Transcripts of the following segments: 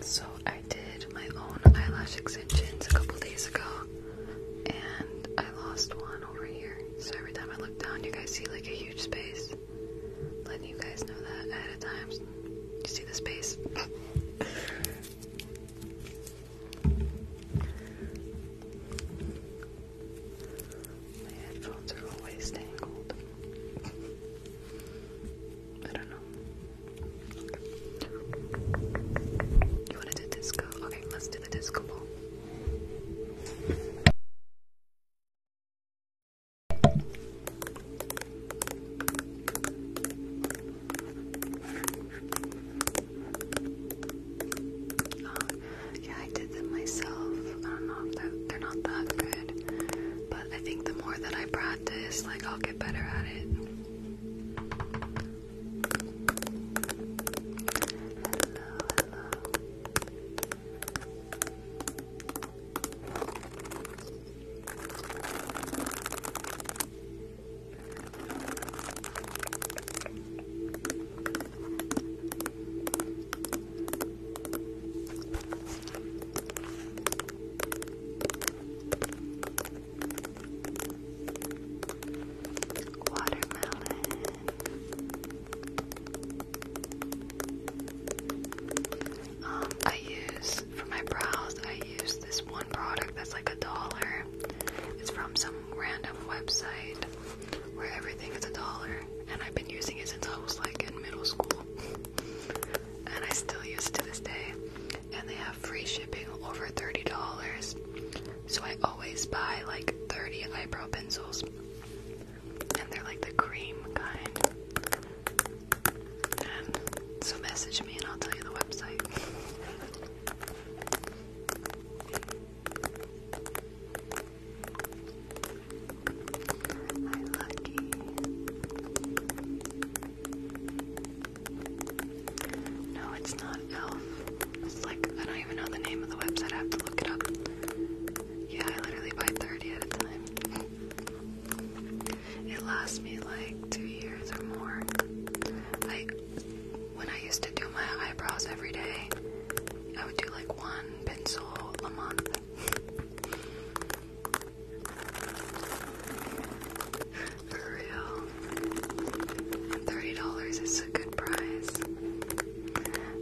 So I did my own eyelash extensions a couple days ago and I lost one over here. So every time I look down you guys see like a huge space. Letting you guys know that ahead of time. You see the space. My headphones are always tangled. I don't know. You wanna disco? Okay, let's do the disco ball. yeah, I did them myself. I don't know they're not that good, but I think the more that I practice this like, I'll get better at it. Watermelon. Um, I use for my brows. I use this one product that's like a dollar. It's from some random website where everything is a dollar, and I've been using it since I was like in middle school and I still use to this day. And they have free shipping over $30. So I always buy like 30 eyebrow pencils. And they're like the cream kind. And so message me and I'll tell you the website. Hi, Lucky. No, it's not Elf. It's like, I don't even know the name of the website. I have to look it up. Yeah, I literally buy 30 at a time. It lasts me like two years or more. I, when I used to do my eyebrows every day, I would do like one pencil a month. For real. $30 is a good price.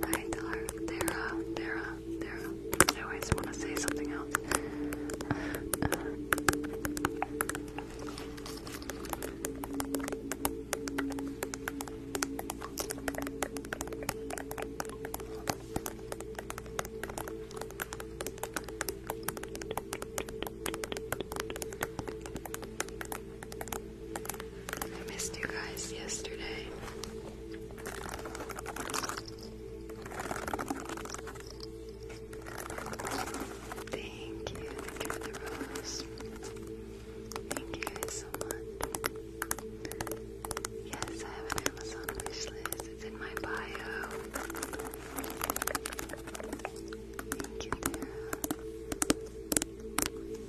I tell her, Tara, I always want to say something else. I missed you guys yesterday. Thank you, for the rose. Thank you guys so much. Yes, I have an Amazon wish list it's in my bio.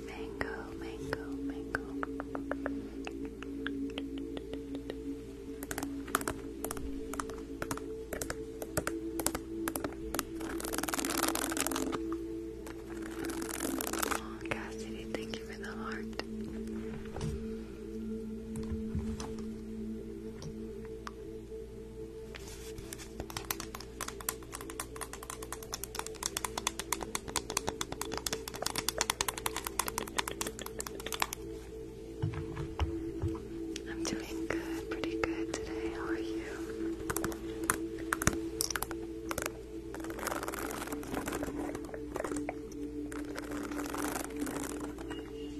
Mango, mango, mango. Cassidy, thank you for the heart. I'm doing good, pretty good today. How are you?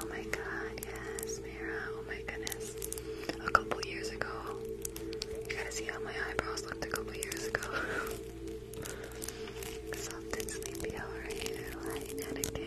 Oh my god, yes, Mira. Oh my goodness. A couple years ago. You gotta see how my eyebrows looked a couple years ago. Soft and sleepy, are you? Hi, again.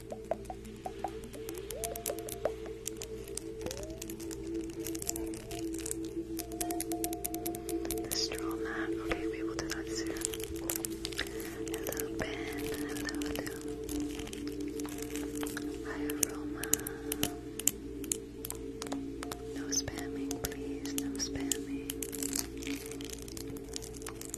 The straw mat. Okay, we do that soon. Hello, Ben. Hello, Hi, Aroma. No spamming, please. No spamming.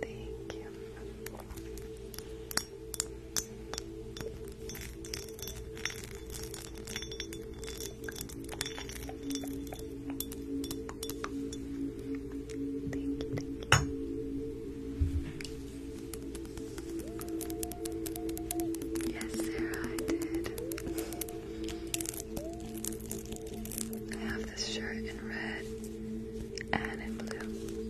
Thank you. Yes, Sarah, I did. I have this shirt in red and in blue.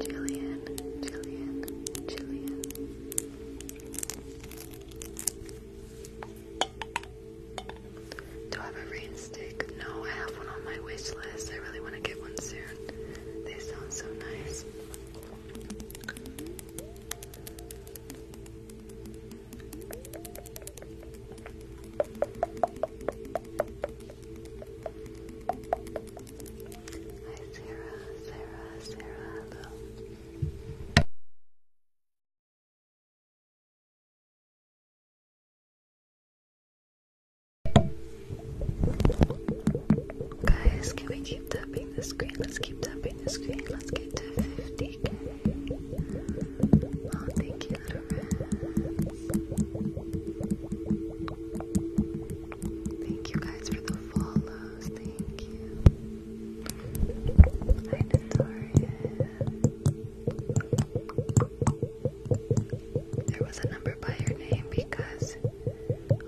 Jillian, Jillian, Jillian. Do I have a rain No, I have one on my wish list. I really want to get one soon. They sound so nice. Hi Sarah, Sarah, Sarah, hello. Guys, can we keep tapping the screen? Let's keep tapping the screen. Let's get to 50 Oh, thank you, little Thank you guys for the follows. Thank you. Hi, Natalia. There was a number by your name because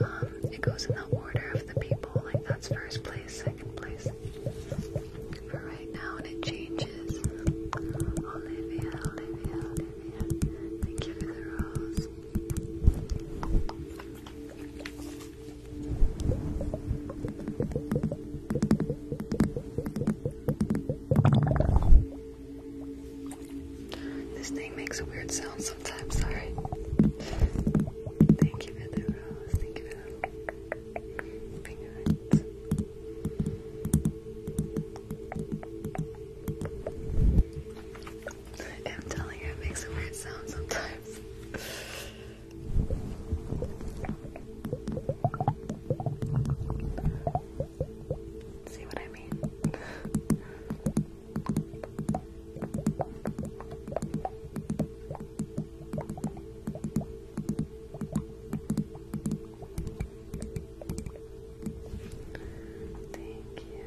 um, it goes in the order of the people. Like, that's first place, second place for right now and it changes. Olivia, Olivia, Olivia. Thank you for the rose. This thing makes a weird sound sometimes, sorry. Thank you for the rose. Thank you. I'm telling you, it makes a weird sound sometimes. See what I mean? Thank you.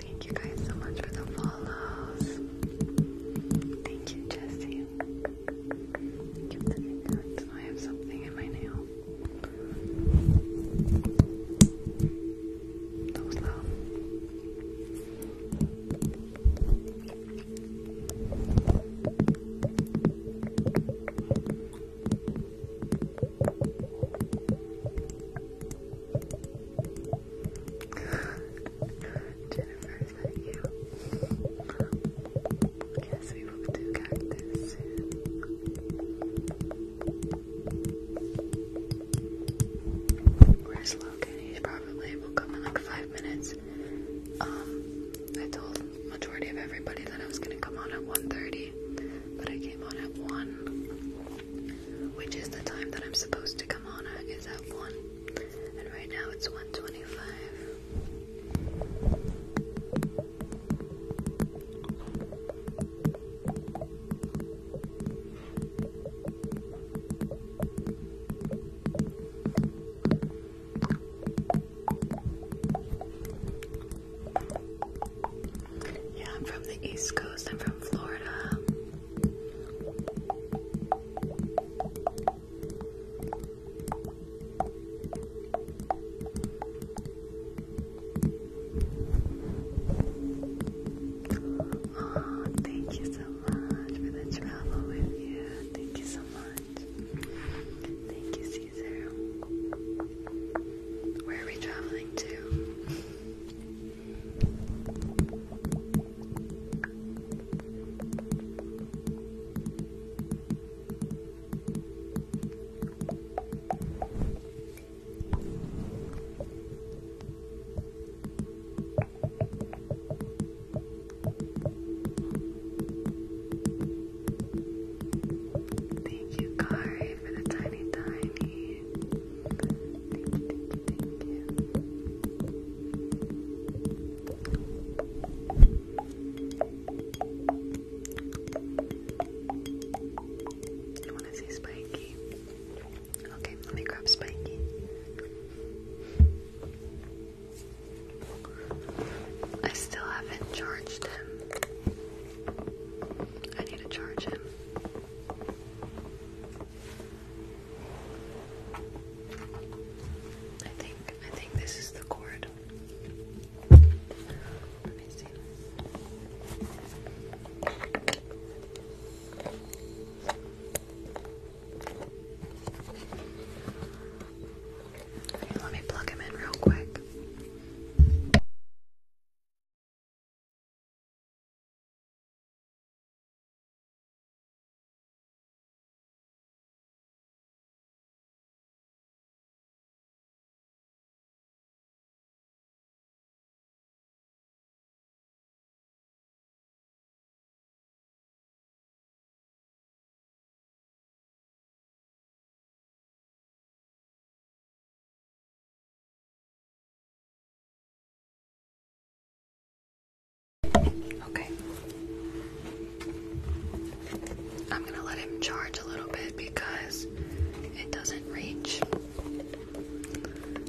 Thank you guys so much for the follows. Thank you, Jesse. I have something in my nail. That was loud. Jennifer, is you? yes, we will do cactus Where's Logan? He's probably will come in like five minutes. Um, I told majority of everybody that I was gonna come on at 1.30, but I came on at 1, which is the time that I'm supposed to come on at, is at 1, and right now it's 1.25. Yeah, I'm from the East Coast. I'm from Florida. Oh, thank you so much for the travel with you. Thank you so much. Thank you, Caesar. Where are we traveling to? Thank you, Kari, for the tiny, tiny. Thank you, you, want to see Spiky. Okay, let me grab Spiky. I still haven't charged him. I need to charge him. I think I think this is the cord. Let me see let me plug him in real quick. Okay. I'm going to let him charge a little bit because it doesn't reach.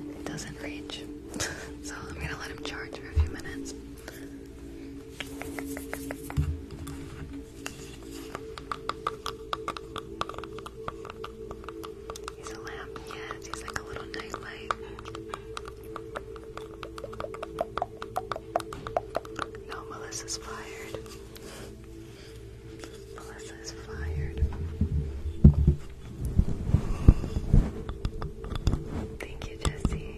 It doesn't reach. so I'm going to let him charge for a few minutes. He's a lamp, yes, he's like a little nightlight. No, Melissa's fired. Melissa is fired. Thank you, Jesse.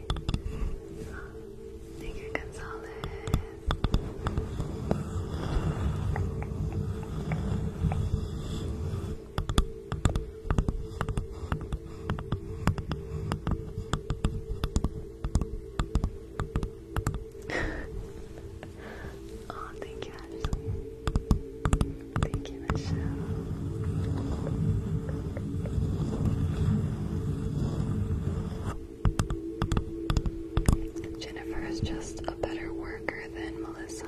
Thank you, Gonzalez. oh, thank you, Thank you, Michelle. Jennifer is just a better worker than Melissa.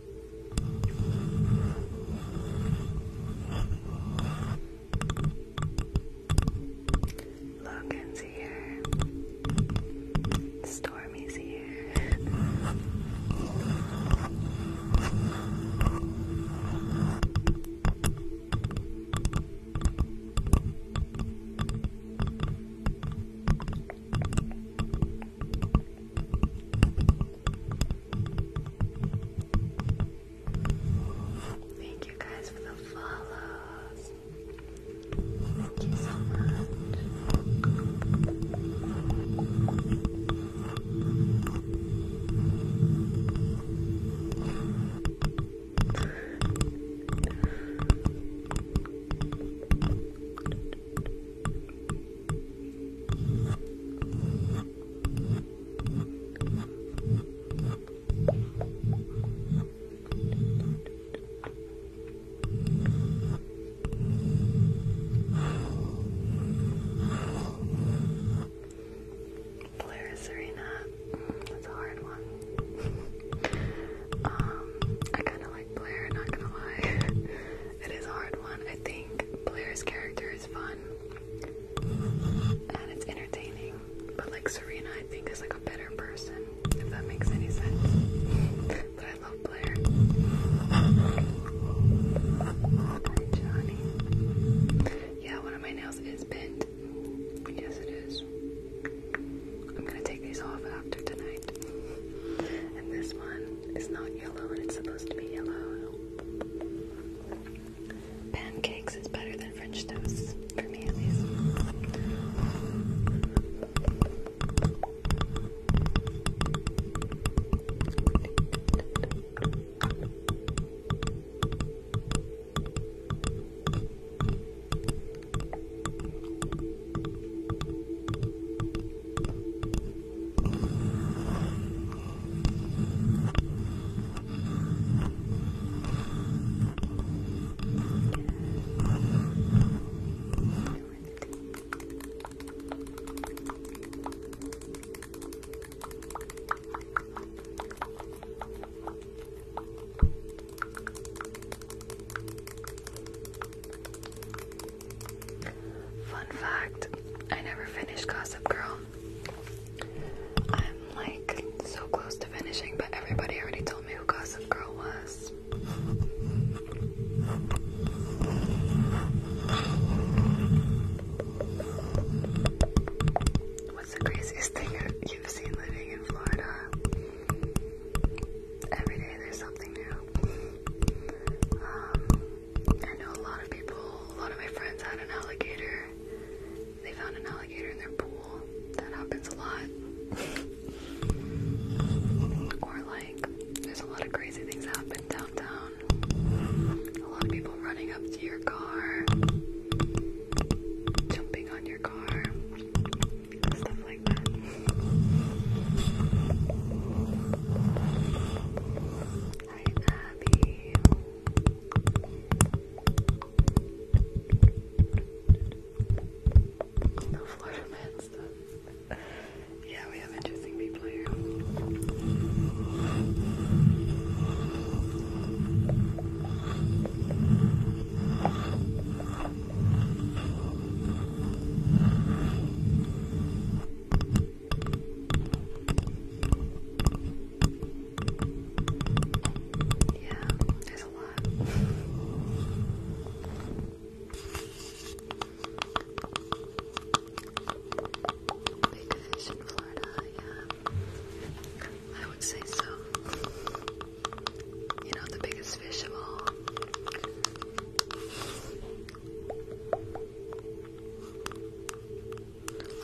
Logan's here. Stormy's here. Thank you guys for the follows. Thank you so much. Blair Serena, that's a hard one. um, I kind of like Blair, not gonna lie. It is a hard one. I think Blair's character is fun and it's entertaining, but like Serena, I think is like a better person, if that makes any sense. but I love Blair. Yeah, one of my nails is bent. Yes, it is. I'm gonna take these off after tonight. And this one is not yellow, and it's supposed to be yellow. Pancakes is better than French toast, for me at least. Fun fact I never finished Gossip Girl. I'm like so close to finishing, but everybody already told me who Gossip Girl was. What's the craziest thing you've seen living in Florida? Every day there's something new. Um, I know a lot of people, a lot of my friends had an alligator. They found an alligator in their pool. That happens a lot. Or, like, there's a lot of crazy things happen downtown. A lot of people running up to your car, jumping on your car, stuff like that. Hi, Abby. The Florida Yeah, we have interesting people here. Yeah, there's a lot. Big fish in Florida, yeah. I would say so. You know, the biggest fish of all.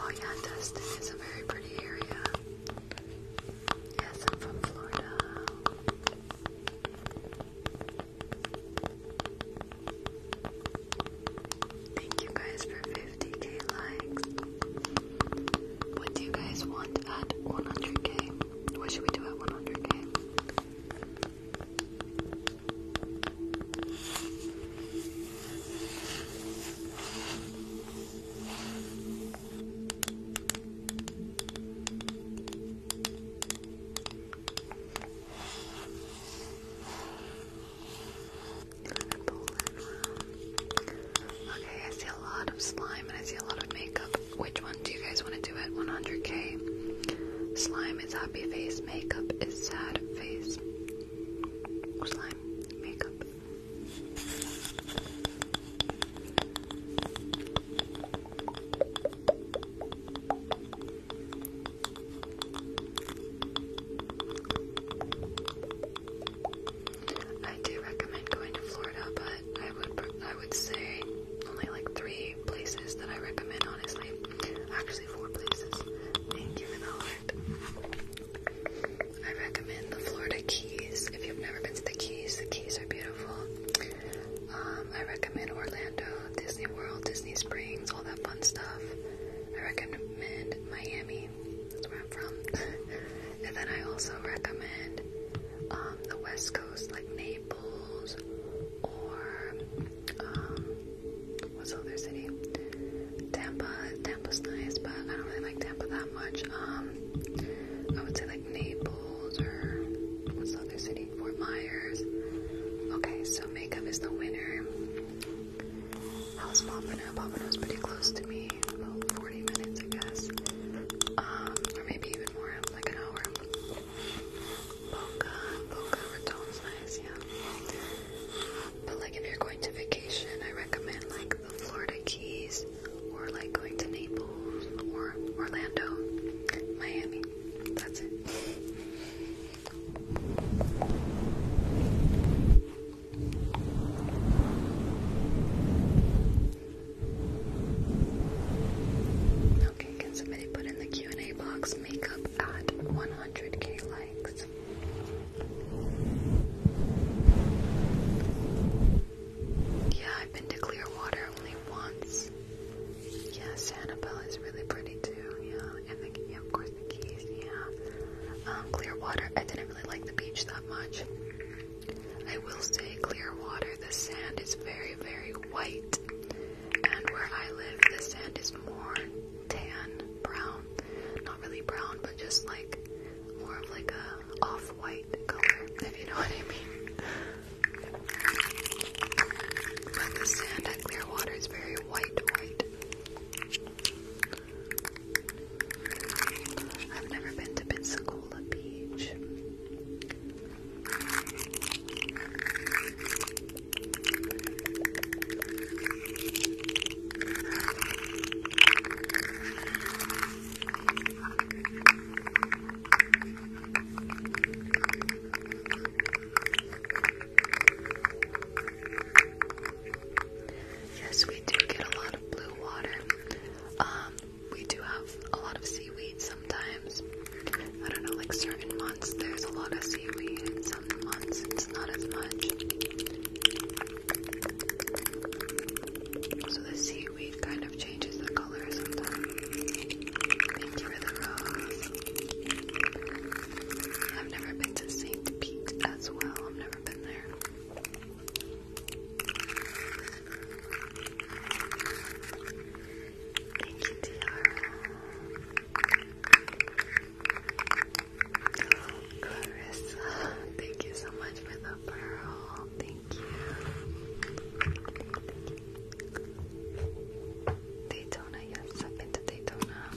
Oh yeah, Destin is a very pretty area. Yes, I'm from Florida. Thank you guys for 50k likes. What do you guys want at 100k? What should we do at 100k? Okay, I see a lot of slime and I see a lot of makeup. Which one do you guys want to do at 100k? Slime is happy face, makeup is sad face. I do recommend going to Florida, but I would I would say only like three places that I recommend honestly. Actually four places. Thank you I recommend the Florida Keys. If you've never been to the Keys, the Keys are beautiful. Um, I recommend Orlando, Disney World, Disney Springs, all that fun stuff. I recommend Miami. That's where I'm from. and then I also recommend um, the West Coast, like Naples or um, What's the other city? Tampa. Tampa's nice, but I don't really like Tampa that much. Um, I would say like Naples or what's the other city? Fort Myers. Okay, so makeup is the winner. How's Pompano? Pompano's pretty close to me, about 40 minutes, I guess. Um, or maybe even more, like an hour. Boca, Boca Raton's nice, yeah. But like if you're going to vacation, I recommend like the Florida Keys or like going to Naples or Orlando, Miami. That's it. Okay, can somebody put in the Q&A box makeup at 100k likes? this. Yeah, I've been to Clearwater only once. Yeah, Sanibel is really pretty too. Yeah, and of course the Keys. Yeah, um, Clearwater. I didn't really like the beach that much. I will say Clearwater. The sand is very, very white, and where I live, the sand is more tan brown really brown, but just like more of like a off-white color, if you know what I mean. But the sand at Clearwater is very white, white. I've never been to Pensacola Beach. Yes, we do get a lot of blue water. Um, we do have a lot of seaweed sometimes. I don't know, like certain months there's a lot of seaweed, and some months so the seaweed kind of changes the color sometimes. Thank you for the rose. I've never been to St. Pete as well. I've never been there. Thank you, Tiara. Clarissa, thank you so much for the pearl. Thank you. Daytona, yes, I've been Daytona.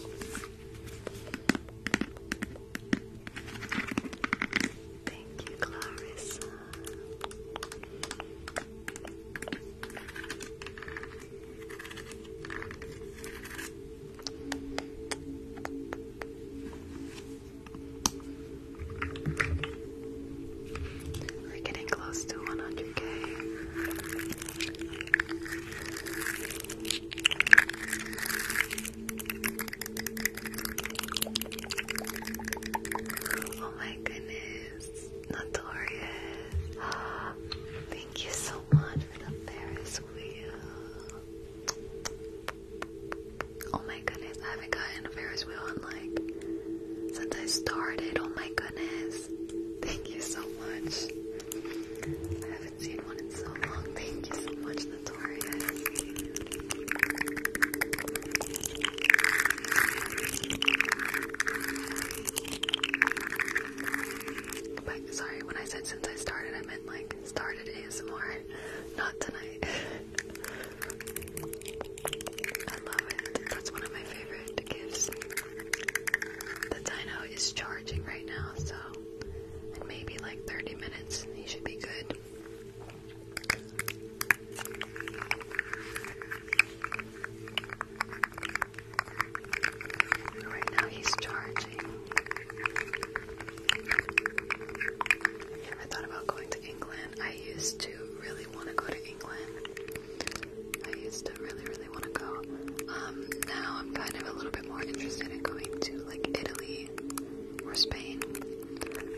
Thank you, Clarissa. We're getting close to 100k. Oh my goodness, Notorious. Thank you so much for the Ferris wheel. Oh my goodness, I haven't gotten a Ferris wheel in like since I started. Oh my goodness. Thank you so much. I haven't seen one in so long. Thank you so much, Notorious. sorry, when I said since I started, I meant like like started ASMR. Not tonight. I love it. That's one of my favorite gifts. The dino is charging right now, so in maybe like 30 minutes he should be good. Right now he's charged. I never thought about going to England. I used to really want to go to England. I used to really, really want to go. Um, now I'm kind of a little bit more interested in going to like Italy or Spain.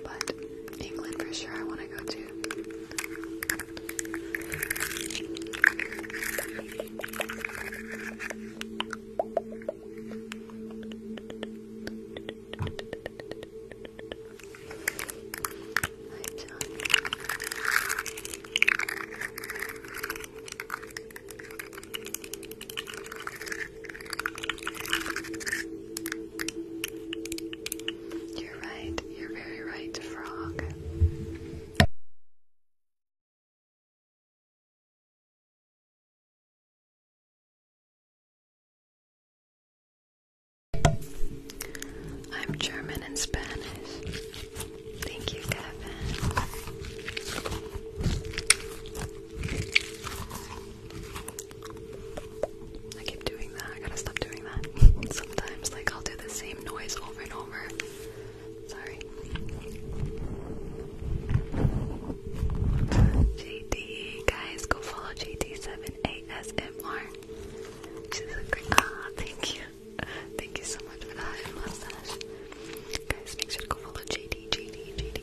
But England for sure I want to go to. You're right, you're very right, frog. I'm German and Spanish. Thank you, Kevin. I keep doing that. I gotta stop doing that. Sometimes, like, I'll do the same noise over and over. Sorry. JD, guys, go follow JD7ASMR. She's a great. Ah, thank you. Thank you so much for that and mustache. Guys, make sure to go follow JD, JD, JD.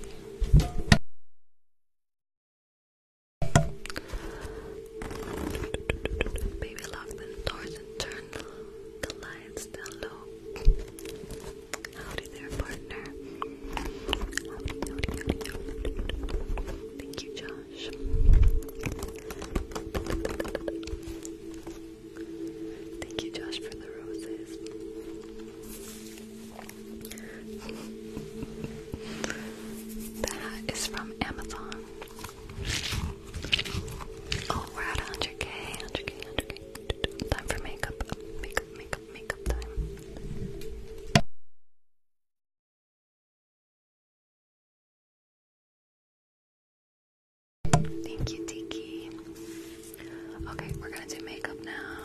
Baby, lock the doors and turn the lights down low. Howdy there, partner. Thank you, Josh. Thank you, Josh, for the roses. The from Amazon. Oh, we're at 100k, 100k, 100k. Time for makeup, makeup, makeup time. Thank you, Tiki. Okay, we're gonna do makeup now.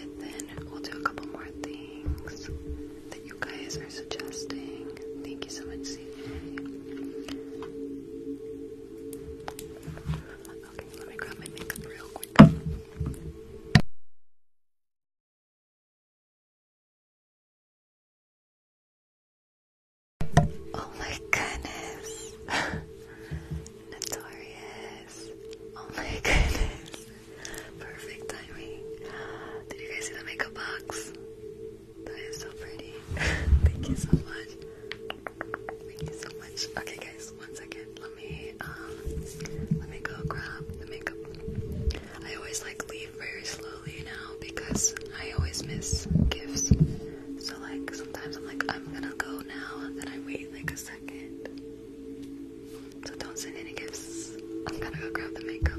And then we'll do a couple more things that you guys are suggesting. Thank you so much, CJ let me grab my makeup real quick. Oh my goodness. Notorious. Oh my goodness. Perfect timing. Did you guys see the makeup box? That is so pretty. Thank you so much. Thank you so much. Okay, guys, one second. Let me um, let me go grab the makeup. I always like leave very slowly now because I always miss gifts. So like sometimes I'm like I'm gonna go now, and then I wait like a second. So don't send any gifts. I'm gonna go grab the makeup.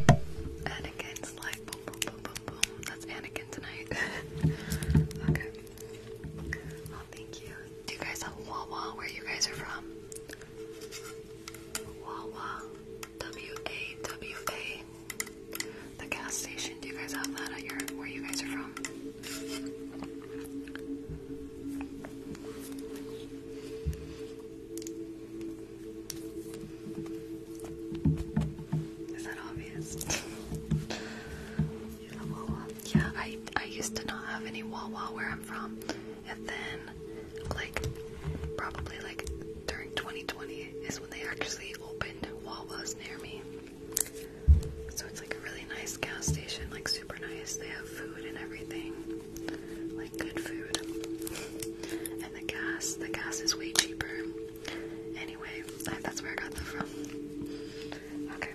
Anakin's like boom, boom, boom, boom, boom. That's Anakin tonight. okay. Oh, thank you. Do you guys have Wawa where you guys are from? Wawa. W-A-W-A. The gas station. Do you guys have that at your where you guys are from? Is that obvious? Yeah, I I used to not have any Wawa where I'm from, and then like probably like during 2020 is when they actually opened Wawas near me. So it's like really nice gas station, like super nice. They have food and everything, like good food. And the gas, the gas is way cheaper. Anyway, that's where I got that from. Okay.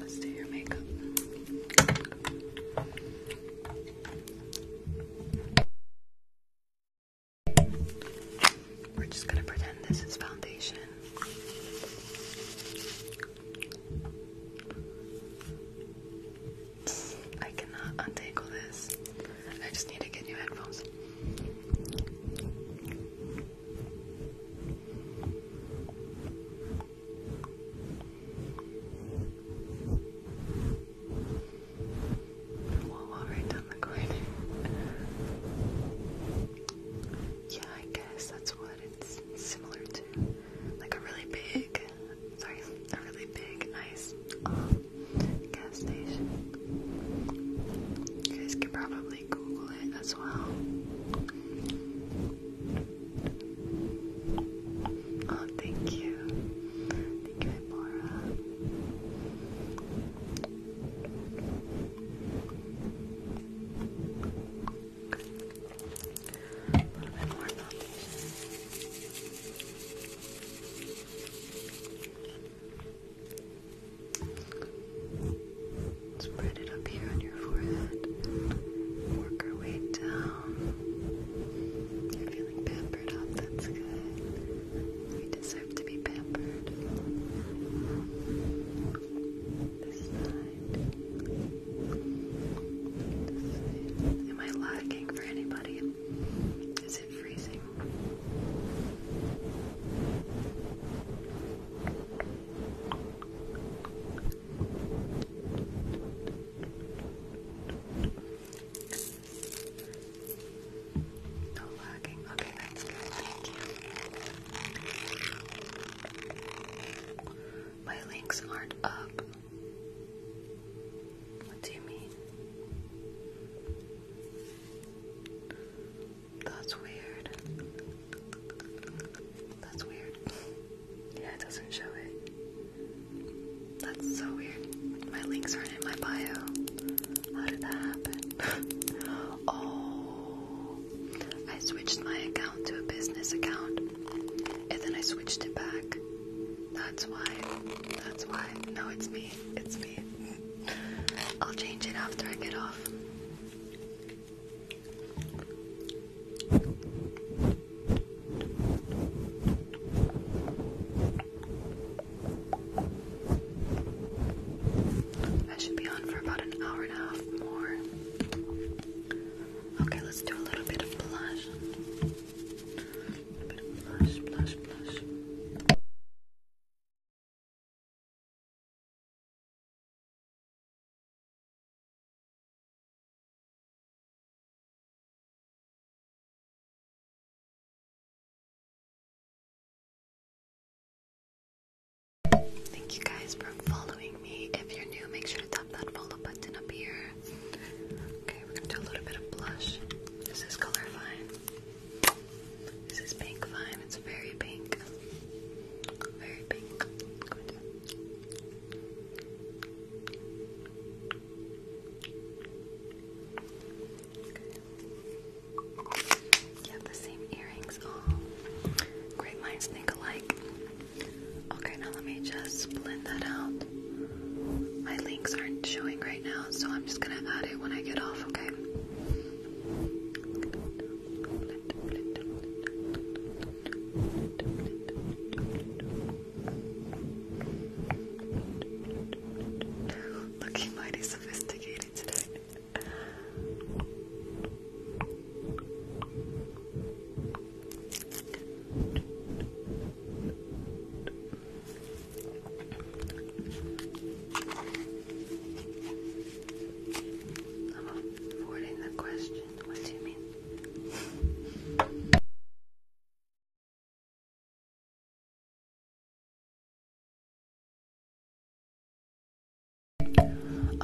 Let's do your makeup. We're just gonna pretend this is foundation. I cannot untangle this. I just need to get new headphones wall wall right down the corner. yeah, I guess that's what it's similar to. Like a really big, sorry, a really big ice um, gas station. You guys could probably Google it as well. Oh, thank you. Thank you, Bora. A it up here on your forehead. Work our way down. You're feeling pampered up, that's good. We deserve to be pampered. This side. Am I lagging for anybody? Is it freezing? No lagging. Okay, that's Thank you. My links aren't up. What do you mean? That's weird. That's weird. Yeah, it doesn't show it. That's so weird. My links aren't in my bio. How did that happen? oh, I switched my account to a business account, and then I switched it back. That's why. That's why. No, it's me. It's me. I'll change it after I get off. I should be on for about an hour and a half more. Okay, let's do a little bit of blush. A bit of blush, blush, blush. Thank you guys for following me. If you're new, make sure to tap that follow button up here. Okay, we're gonna do a little bit of blush. This is color fine. This is pink fine. It's very pink. Very pink. You have the same earrings. All oh, great minds think alike. Okay, now let me just blend that out. My links aren't showing right now, so I'm just gonna add it when I get off, okay? Looking mighty sophisticated today. I'm avoiding the question. What do you mean?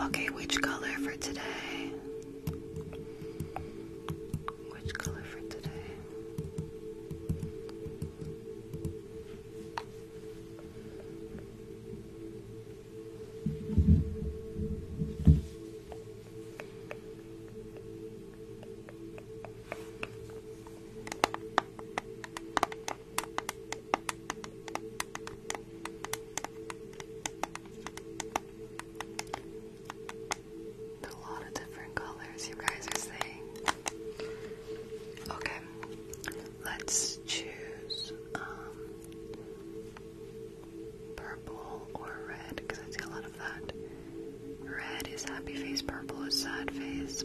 Okay, which color for today? Which color for today? A lot of different colors you guys are saying. Okay, let's choose um, purple or red because I see a lot of that. Red is happy face, purple is sad face.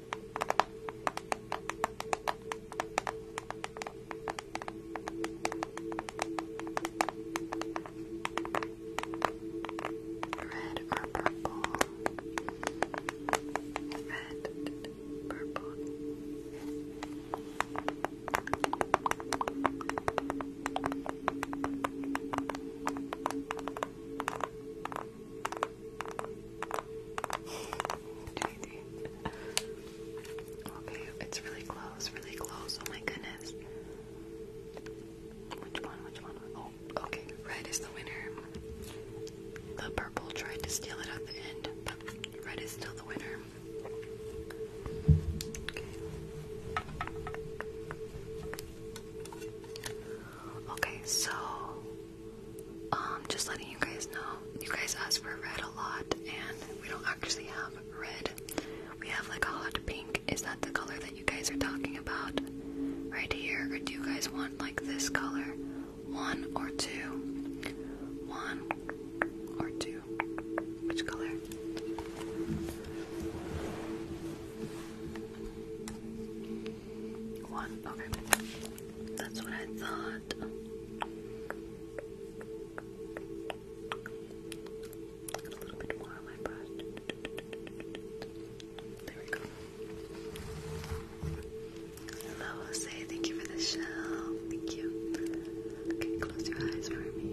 Red or purple? Red, purple. okay, it's really close, really close. Oh my goodness. Which one? Which one? Oh, okay. Red is the winner. The purple tried to steal it at the end, but red is still the winner. Okay. so um, just letting you guys know, you guys ask for red a lot, and we don't actually have red. We have like a hot pink. Is that the color that you guys are talking about right here? Or do you guys want like this color? One or two? One or two? Which color? One. Okay. That's what I thought. A little bit more on my brush. There we go. Hello, Jose. Thank you for the show. Thank you. Okay, close your eyes for me.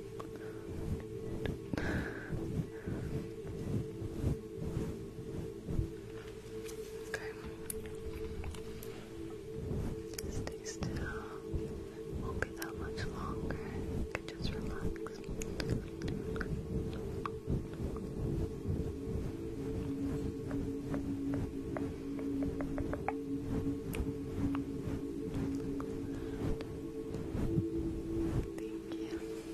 Okay. Stay still. Won't be that much longer. just relax. Thank you.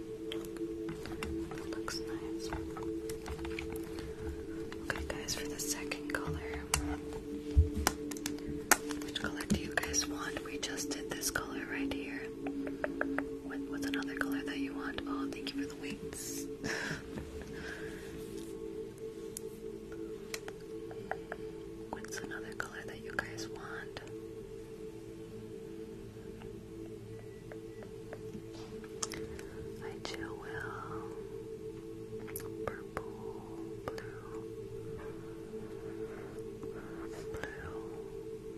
Okay, guys, for the second color, which color do you guys want? We just did this color right here. what's another color that you want? Oh, thank you for the weights. What's another color that you guys want? I chill well. Purple, blue, blue,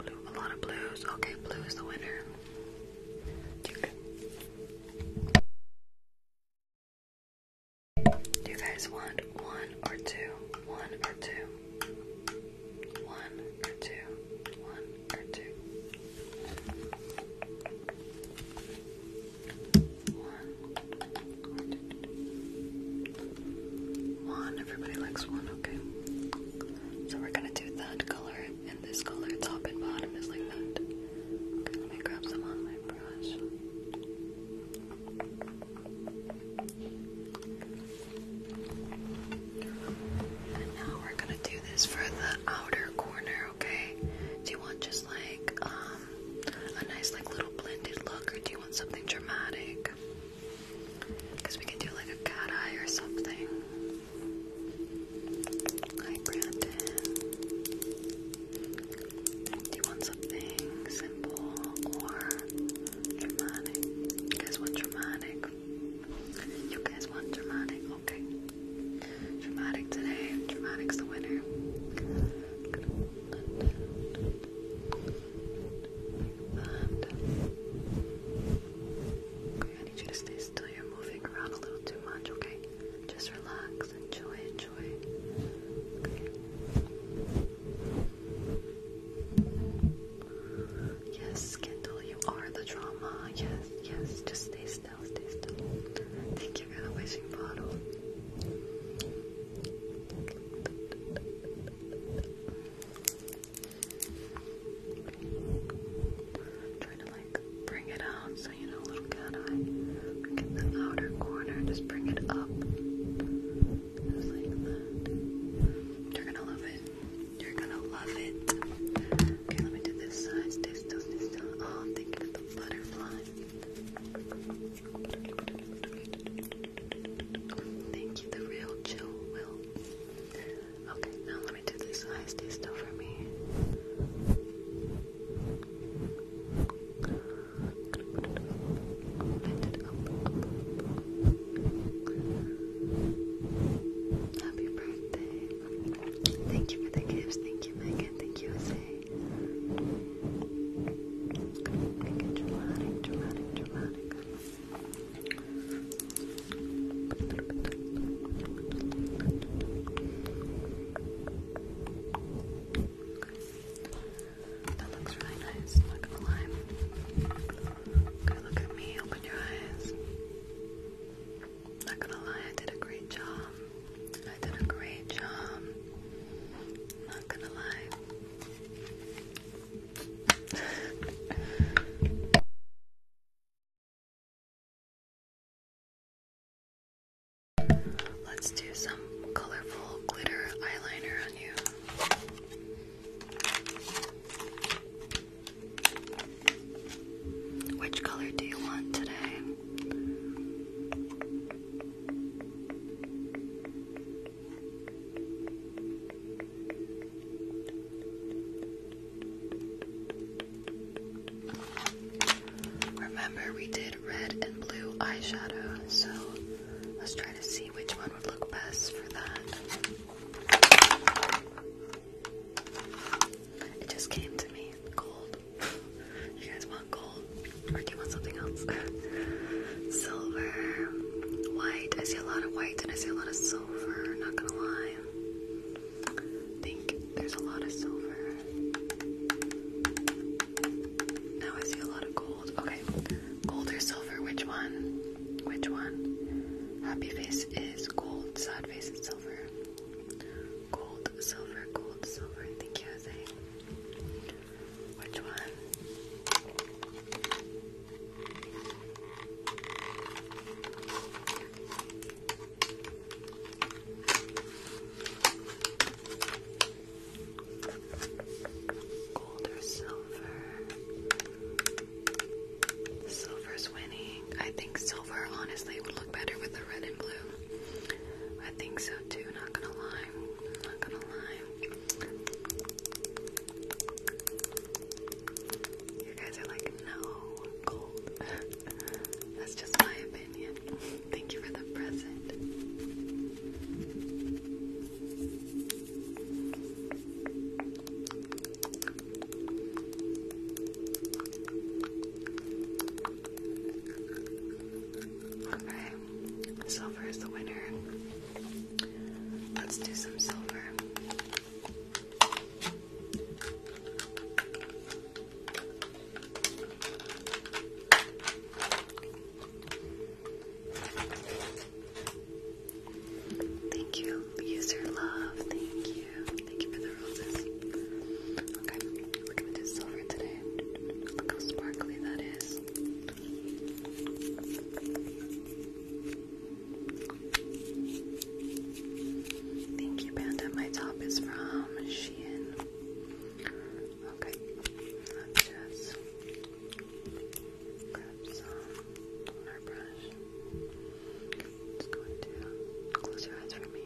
blue. A lot of blues. Okay, blue is the winner. Do you guys want one or two? One or two? one or two, one or two, one, one. Everybody likes one, okay? So we're gonna do that color and this color, top and bottom is like that. Okay, let me grab some on my brush. And now we're gonna do this for the outer corner, okay? Do you want just like um a nice like little blended look or do you want something dramatic? Because we can do like a cat eye or something. Hi Brandon. Do you want something simple or dramatic? You guys dramatic? You guys want dramatic? Okay. Dramatic today. Dramatic's the winner. Okay, I need you to stay still. You're moving around a little too much, okay? Just relax. Enjoy, enjoy. Okay. Yes, Kindle, you are the drama. Yes, yes, just stay still, stay still. Thank you for the wishing bottle. trying to like bring it out so you know, little cat eye. Like the outer corner, just bring it up. Just like that. You're gonna love it. You're gonna love it. Okay, let me do this side. Stay still, stay still. Oh, I'm thinking of the butterfly. Thank you, the real chill will. Okay, now let me do this side. Stay still for me. Happy birthday. Thank you for the gifts. Thank you, Megan. Thank you, Jose. Make it dramatic, dramatic, dramatic. That looks really nice, not going look at me, open your eyes. Not gonna lie, I did a great job. I did a great job. Not gonna lie. Let's do some colorful glitter eyeliner on you. Which color do you want today? Remember, we did red and blue eyeshadow, so let's try to see which one would look best for that. It just came to me. Gold. you guys want gold? Or do you want something else? silver. White. I see a lot of white and I see a lot of silver, not gonna lie. I think there's a lot of silver. Now I see a lot of gold. Okay. Gold or silver, which one? Which one? Happy face is gold sad face and silver. Gold, silver, gold, silver. Thank you, Which one? Gold or silver? Silver's winning. I think silver honestly would look better with the red and blue. I think so too, not gonna lie. Not gonna lie. You guys are like, no, gold. That's just my opinion. Thank you for the present. Okay, silver is the winner. Let's do some silver. Thank you, user love. Thank you. Thank you for the roses. Okay, we're gonna do silver today. Look how sparkly that is. Thank you, Panda. My top is from Shein. Okay, let's just grab some on our brush. Just going to close your eyes for me.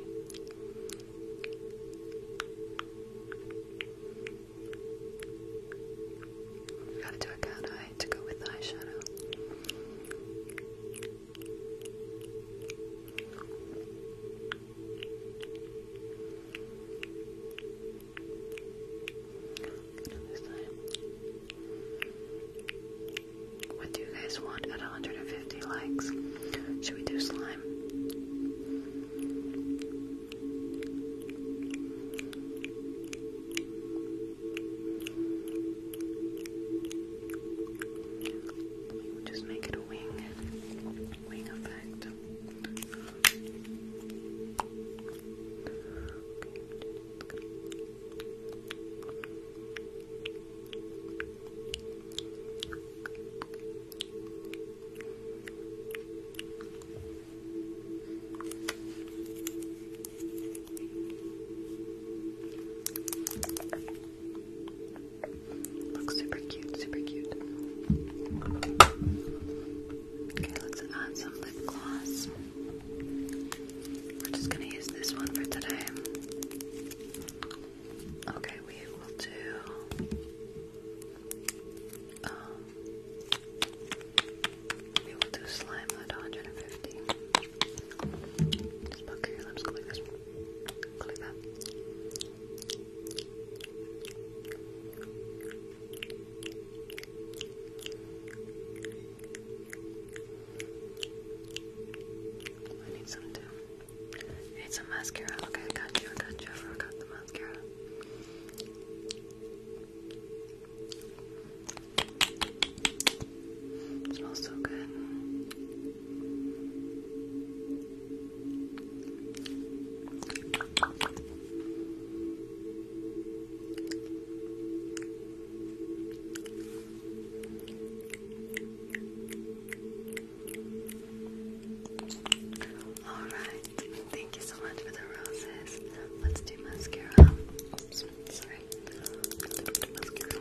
gotta do a cat eye to go with the eyeshadow. Another side. What do you guys want at 150 likes? Should we do slime? just make it a wing, wing effect. Looks super cute, super cute. Okay, let's add some lip gloss. We're just gonna use this one for today. Okay, we will do. Um, we will do slime at 150. Just pucker your lips, like this. like that. I need some too. need some mascara. Okay, I got you, I got you. I forgot the mascara. smells so good. Alright, thank you so much for the roses. Let's do mascara. Oops, sorry. A little bit mascara.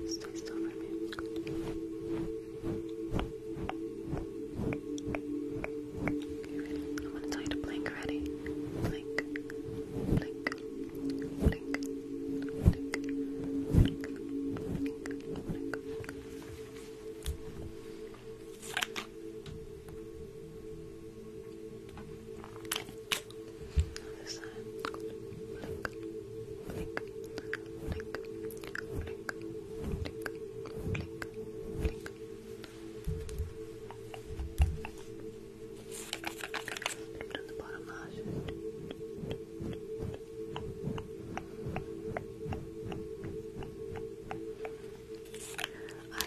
Just taste over me. I'm to tell you to blink already. blink, blink, blink, blink, blink, blink, blink, blink, blink, blink I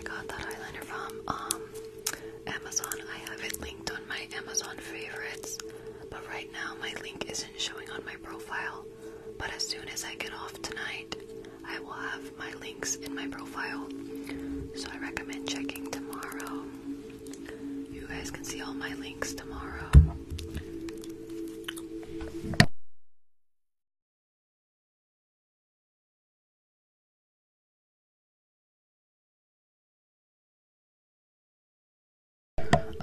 got that eyeliner from um Amazon. I have it linked on my Amazon favorites, but right now my link isn't showing on my profile but as soon as I get off tonight, I will have my links in my profile. So I recommend checking tomorrow. You guys can see all my links tomorrow.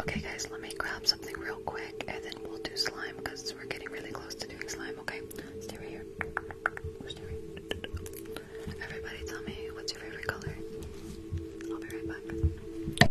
Okay, guys, let me grab something real quick and then we'll do slime because we're getting really close to doing slime, okay? Stay right here. Everybody tell me what's your favorite color. I'll be right back.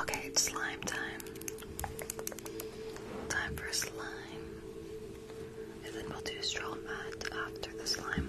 Okay, slime time. Time for slime. And then we'll do straw mat after the slime.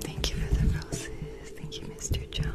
Thank you for the roses. Thank you, Mr. Jones.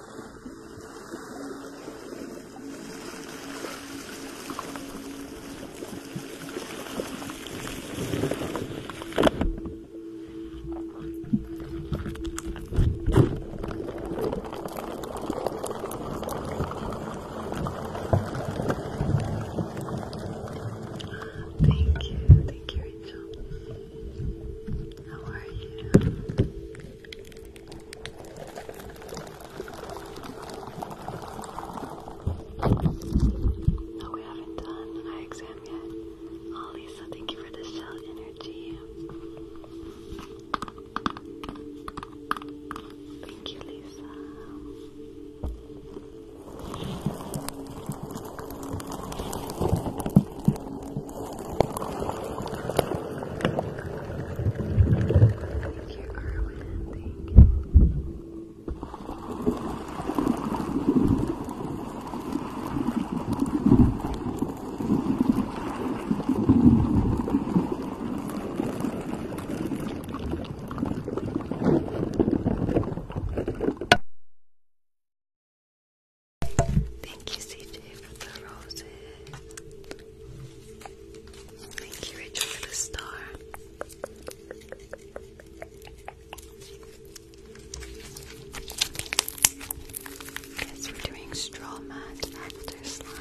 Thank you, thank you, Rachel. How are you? No, we haven't done an eye exam yet. Oh, Lisa, thank you for the shell energy. Thank you, Lisa. Thank you, Carwin. Thank you. Thank you, CJ, for the roses. Thank you, Rachel, for the star. Yes, we're doing straw mat after slime.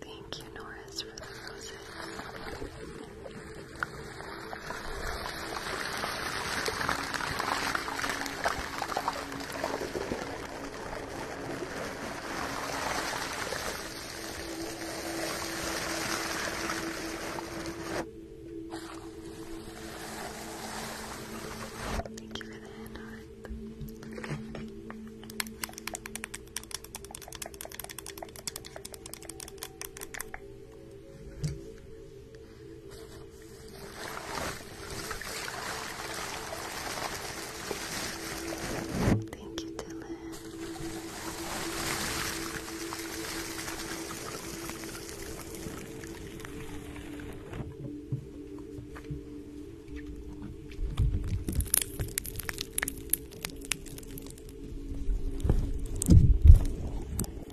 Thank you, Norris, for the roses. Thank you for the hand heart. Thank you, Dylan.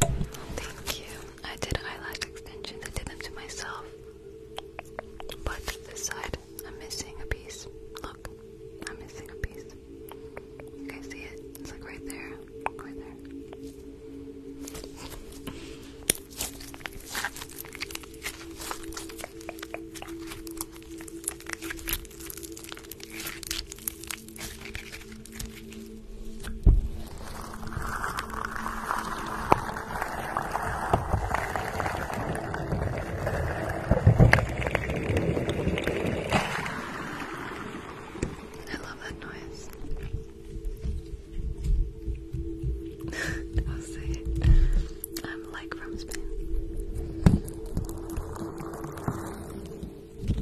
Thank you. I did eyelash extensions. I did them to myself. But this side, I'm missing a piece. Look, I'm missing a piece. You guys see it? It's like right there. Right there. I love that noise. I'll say I'm like from Spain.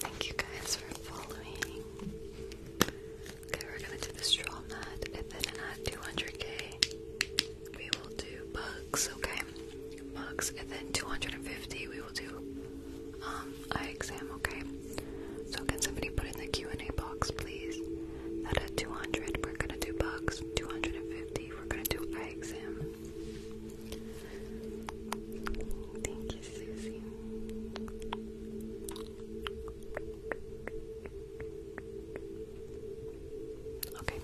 Thank you guys for following. Okay, we're gonna do the straw mat, and then at 200k, we will do bugs. Okay, bugs, and then 250, we will do um eye exam, okay? So can somebody put in the Q&A box, please? That at 200, we're gonna do bugs. 250, we're gonna do eye exam. Thank you, Susie. Okay.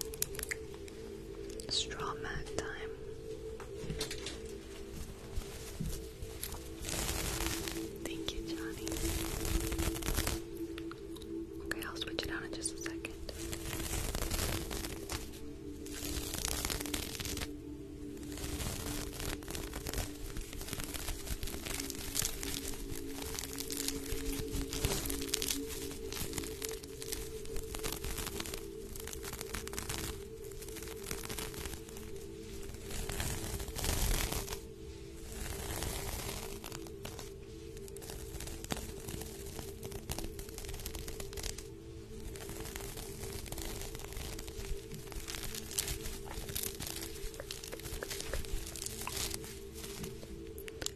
Straw time. Thank you, Johnny. Okay, I'll switch it out in just a second.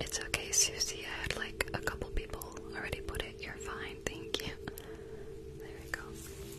It's okay, Susie. I had like a couple people already put it. You're fine, thank you. There we go.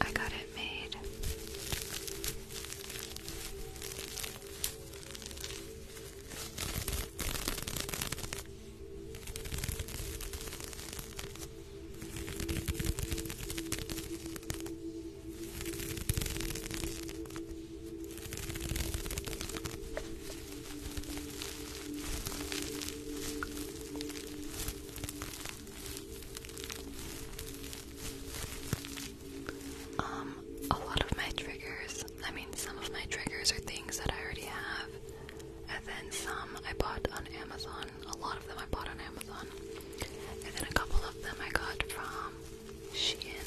I got it made. Um, a lot of my triggers, I mean, some of my triggers are things that I already have, and then some I bought on Amazon. A lot of them I bought on Amazon, and then a couple of them I got from Shein.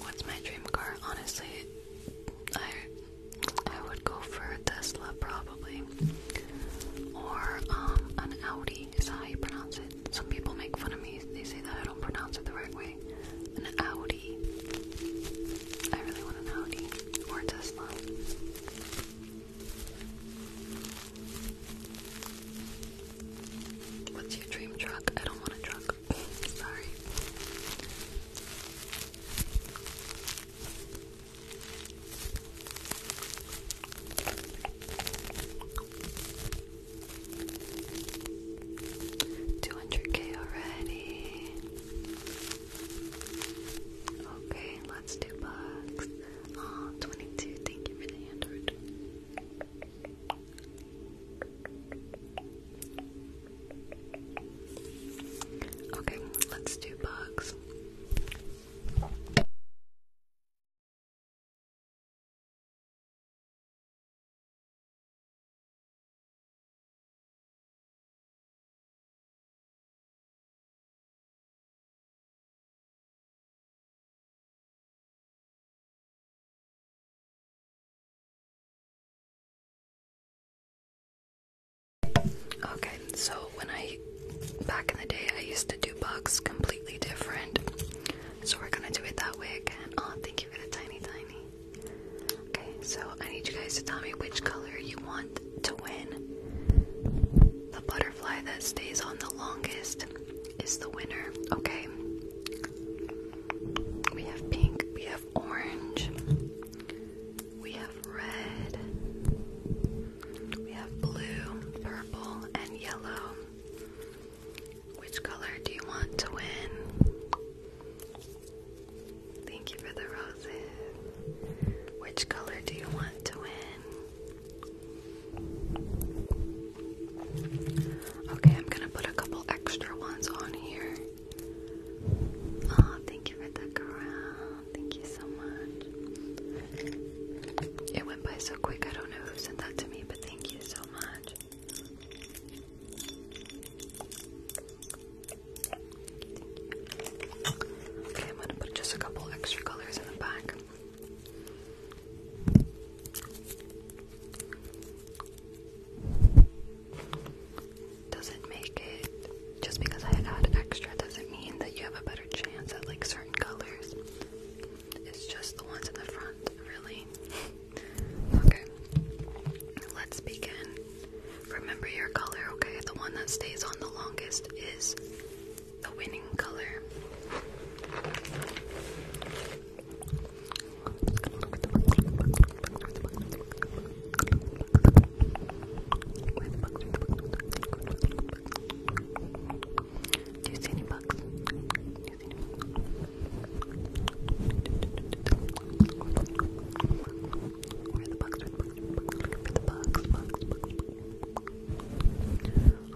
What's my dream car? Honestly, I I would go for a Tesla probably, or um an Audi. Is how you pronounce it? Some people make fun of me. They say that I don't pronounce it the right way. An Audi. I really want an Audi or Tesla. What's your dream truck? I don't want a truck. Sorry. 200k already. Okay, let's do bugs. Oh, 22, thank you for the Android. Okay, let's do bugs. Okay, so when I back in the day, I used to do bugs completely different. So we're gonna do it that way again. Oh, thank you for the tiny, tiny. Okay, so I need you guys to tell me which color you want to win. The butterfly that stays on the longest is the winner, okay? We have pink, we have orange, we have red, we have blue, purple, and yellow. Which color do you want to win? Thank you for the roses. Which color do you want to win? Okay, I'm gonna put a couple extra ones on here. Oh, thank you for the crown. Thank you so much. It went by so quick, I don't know who sent that to me, but thank you so much. I'm gonna put just a couple extra colors in the back. Doesn't make it just because I add extra doesn't mean that you have a better chance at like certain colors. It's just the ones in the front, really. okay, let's begin. Remember your color, okay? The one that stays on the longest is the winning color. Do you see any bugs? Where are the bugs? are the bugs? the bugs.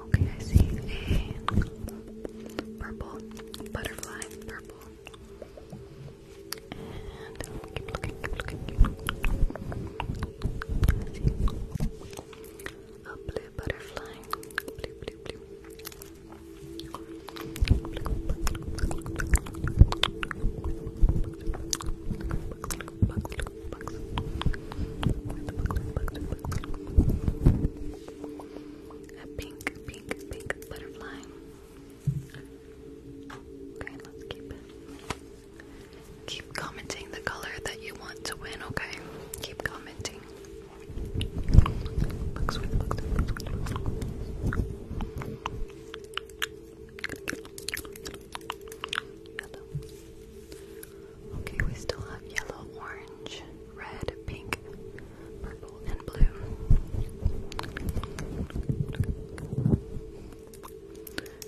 Okay, I see a purple butterfly. Purple. And keep looking, keep looking, keep looking. I see a blue butterfly. Blue, blue, blue. A pink, pink, pink butterfly. Okay, let's keep Keep commenting the color that you want to win, okay? Keep commenting. Looks weird, Okay, we still have yellow, orange, red, pink, purple, and blue.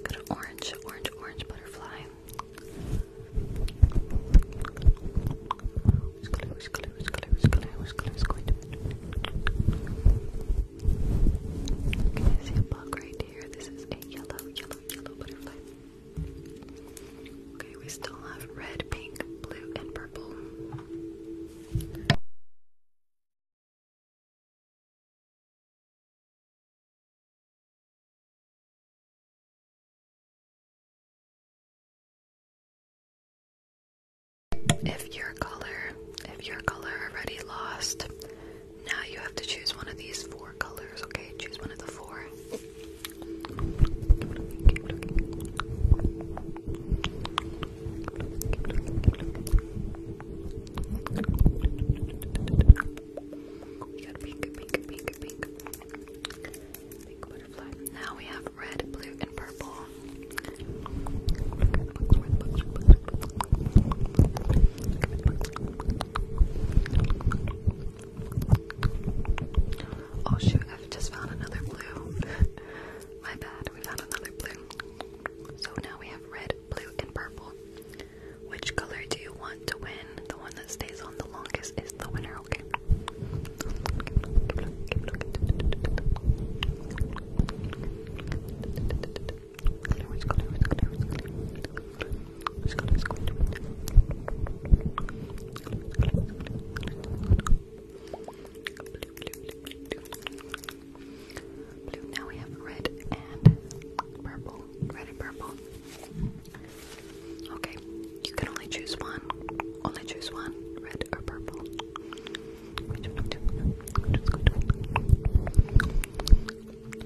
Got an orange, orange, orange butterfly close, close, close, close, quite a bit. Okay, I see a bug right here. This is a yellow, yellow, yellow butterfly. Okay, we still have red, pink, blue, and purple. If your color, if your color already lost, now you have to choose one of these four colors, okay? Choose one of the four. We got pink, pink, pink, pink. Now we have red, blue, and purple. Oh shoot, I've just found another blue. My bad, we found another blue. So now we have red, blue, and purple. Which color do you want to win? The one that stays on the longest is the winner, okay? Keep now we have red and purple, red and purple. Okay, you can only choose one. Only choose one, red or purple.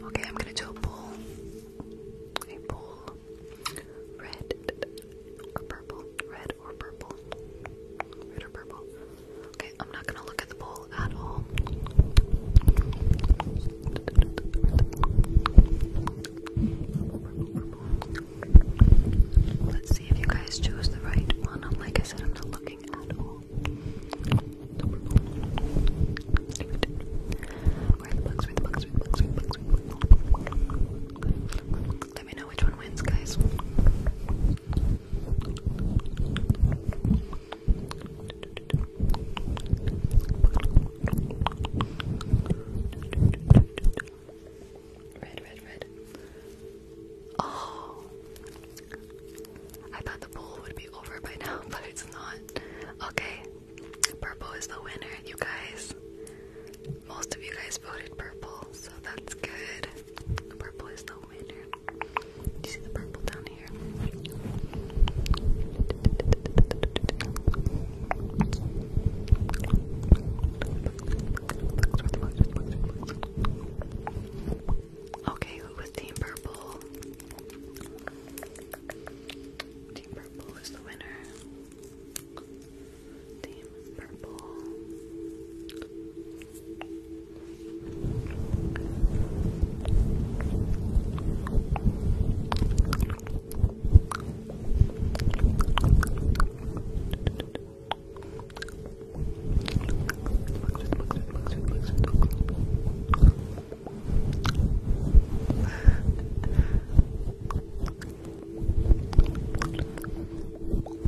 Okay, I'm gonna do a poll. A bowl. Red or purple. Red or purple. Red or purple. Okay, I'm not gonna look at the bowl at all. Let's see if you guys chose the right one. like I said, I'm not looking at all. Let me know which one wins, guys. Red, red, red. Oh! I thought the poll would be over by now, but it's not. Okay, purple is the winner, you guys. Most of you guys voted purple, so that's good. Purple is the winner. You see the purple down here? Okay, who was Team Purple? Team Purple is the winner. Team Purple.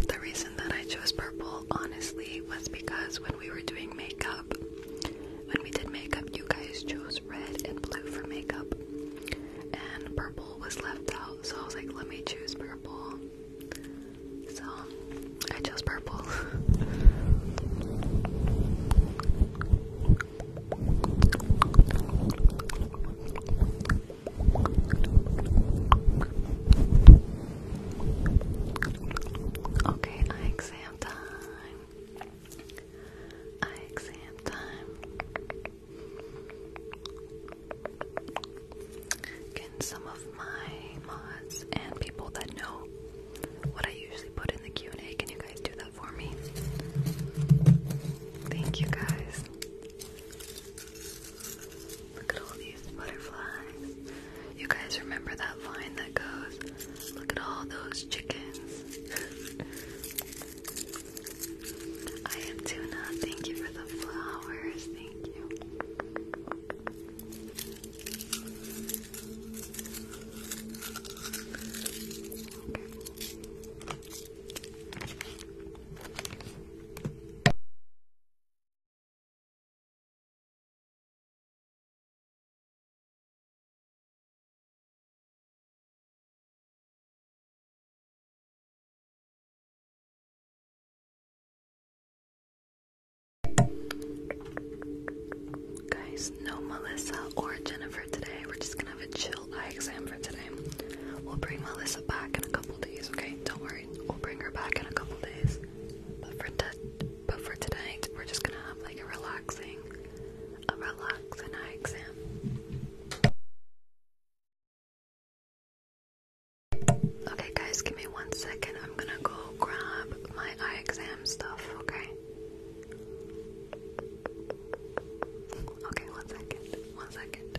The reason that I chose purple, honestly, was because when we were doing makeup, when we did makeup, you guys chose red and blue for makeup, and purple was left out, so I was like, let me choose purple. So I chose purple. okay, eye exam time. Eye exam time. Can some of my mods and people that know what I usually put in the Q&A, can you guys do that for me? Thank you guys. Look at all these butterflies. You guys remember that line that goes, look at all those chickens. I am Tuna. Thank you for the flowers. Thank you. Guys, no Melissa or Jennifer today. We're just gonna have a chill eye exam for today. We'll bring Melissa back in a couple days, okay? Don't worry, we'll bring her back in a couple days. But for but tonight, we're just gonna have like a relaxing, a relaxing eye exam. Okay, guys, give me one second. I'm gonna go grab my eye exam stuff, okay? Okay, one second. One second.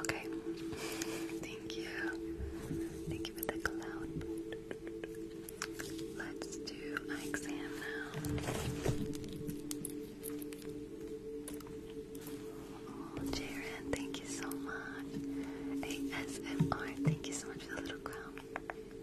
Okay, thank you. Thank you for the cloud. Let's do exam now. Oh, thank you so much. ASMR, thank you so much for the little crown.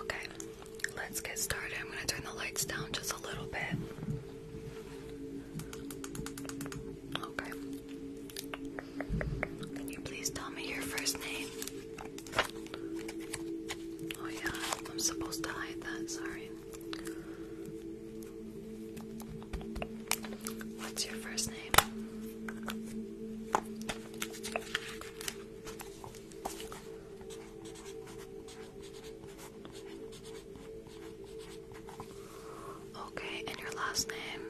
Okay, let's get started. I'm going to turn the lights down just a little bit. Okay. Can you please tell me your first name? Oh yeah, I'm supposed to hide that, sorry. What's your first name? Okay, and your last name?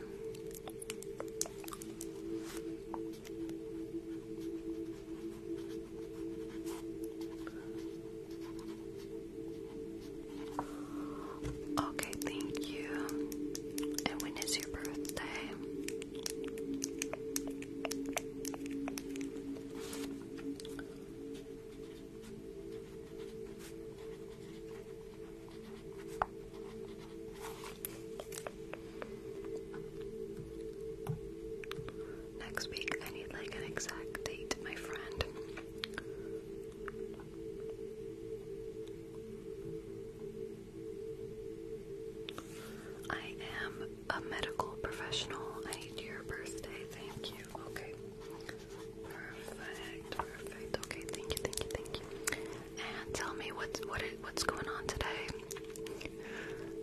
Okay, thank you. And when is your birthday? Next week, I need like an exact date, my friend. I am a medical professional. I need your birthday. Thank you. Okay. Perfect. Perfect. Okay. Thank you. Thank you. Thank you. And tell me what's what what's going on today.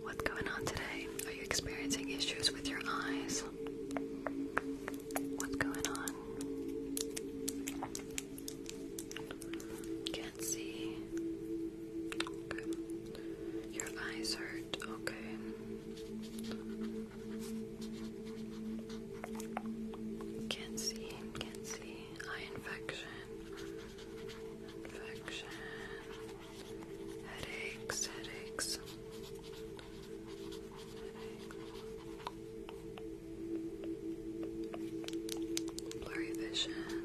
What's going on today? Are you experiencing issues with your eyes? What's going on? Can't see. Your eyes hurt. Okay. Can't see. Can't see. Eye infection. Infection. Headaches, headaches. Blurry vision. Okay.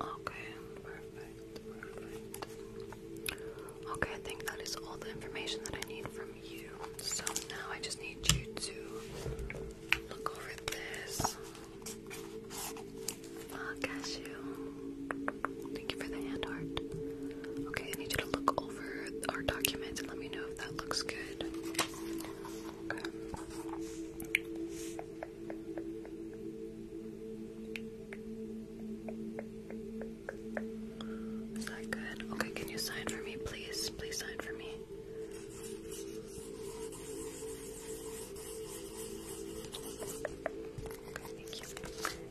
Okay, perfect, perfect. Okay, I think that is all the information that I need from you. So now I just need you to look over this. cashew. Thank you for the hand art. Okay, I need you to look over our document and let me know if that looks good. Um, is that good? Okay, can you sign for me, please? Please sign for me.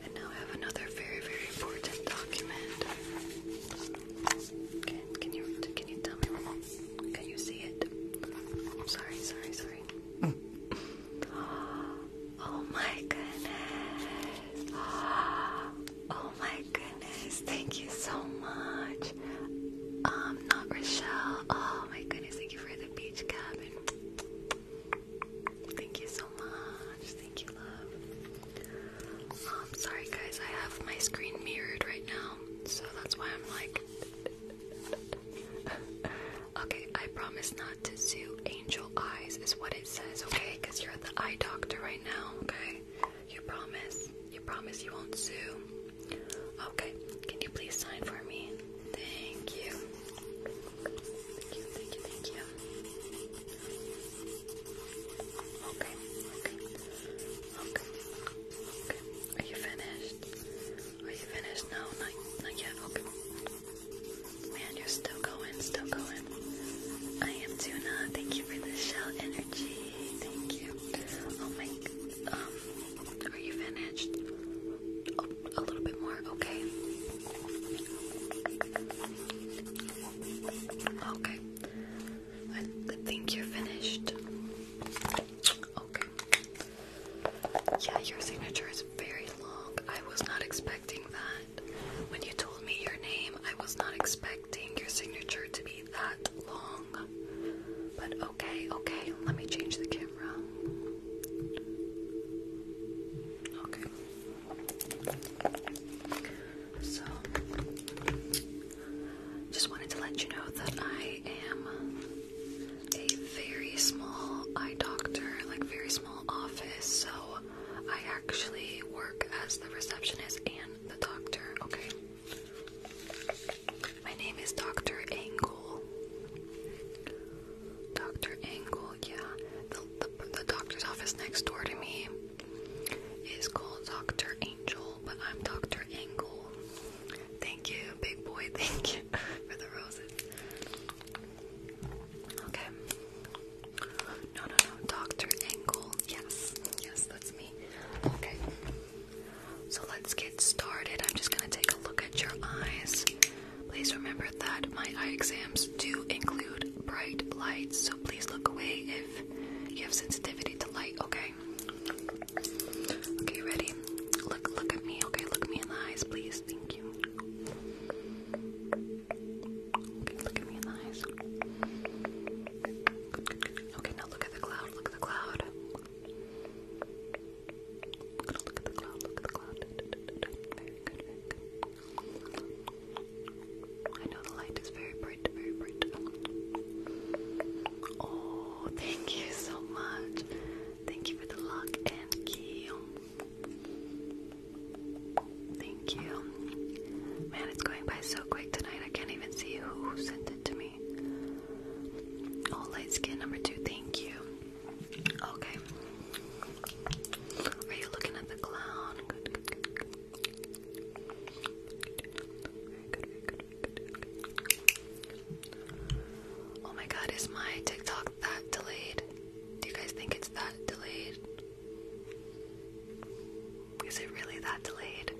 And now I have another very, very important document. Okay, can you can you tell me? Can you see it? I'm sorry, sorry, sorry. Hmm. Oh my goodness. Oh my goodness. Thank you so much. Um, not Rochelle. Oh my goodness. Thank you for the beach cabin. Thank you so much. Thank you, love. I'm um, sorry, guys. I have my screen mirrored right now, so that's why I'm like. Okay, I promise not to do angel eyes, is what it says, okay? Because you're the eye doctor right now, okay? You promise? You promise you won't sue? Okay, can you please sign for me? Thank you. Thank you, thank you, thank you. Okay, okay, okay, okay. Are you finished? Are you finished? No, not, yet. Okay. Man, you're still going, still going. I am Tuna. Thank you for the shell energy. Thank you. Oh my. Um, are you finished? Oh, a little bit more. Okay. Okay. I think you're finished. Okay. Yeah, your signature is very long. I was not expecting that. When you told me your name, I was not expecting your signature to be that long. But okay, okay, let me change the camera. Okay. So, just wanted to let you know that I am a very small eye doctor, like very small office, so I actually work as the receptionist and the doctor, okay? My name is Dr. Angle. Dr. Angle, yeah. The, the, doctor's office next door to me is called Dr. Angel, but I'm Dr. Angle. Thank you, big boy, thank you for the roses. Okay. No, no, no. Dr. Engel. Yes. Yes, that's me. Okay. So let's get started. I'm just going to take a look at your eyes. Please remember that my eye exams do include bright lights, so please look away if you have sensitivity to light, okay? Okay, ready? Look look at me, okay? Look me in the eyes, please. Thank you. Okay, look at me in the eyes. Okay, now look at the cloud, look at the cloud. Look at the cloud, look at the cloud. I know the light is very bright, very bright. Oh, thank you so much. Thank you for the lock and key. Thank you. Man, it's going by so quick tonight. I can't even see who sent it to me. Oh, light skin number two. Thank you. Okay. Are you looking at the clown? Oh my god, is my TikTok that delayed? Do you guys think it's that delayed? Is it really that delayed?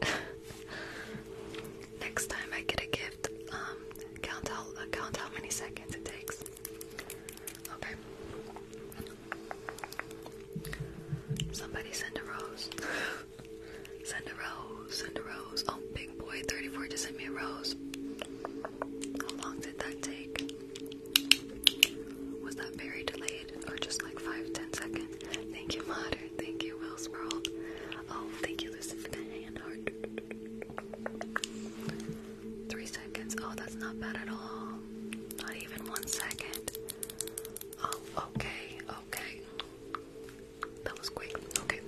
Next time I get a gift, um, count out uh, count how many seconds it takes. Okay. Somebody send a rose. send a rose. Send a rose. Oh, big boy, thirty-four just sent me a rose. How long did that take? Was that very delayed or just like five, ten seconds? Thank you, Modern. Thank you, Will's World. Oh, thank you, Lucy, for the hand heart. Three seconds. Oh, that's not bad at all. Not even one second. Oh, okay, okay. That was quick. Okay.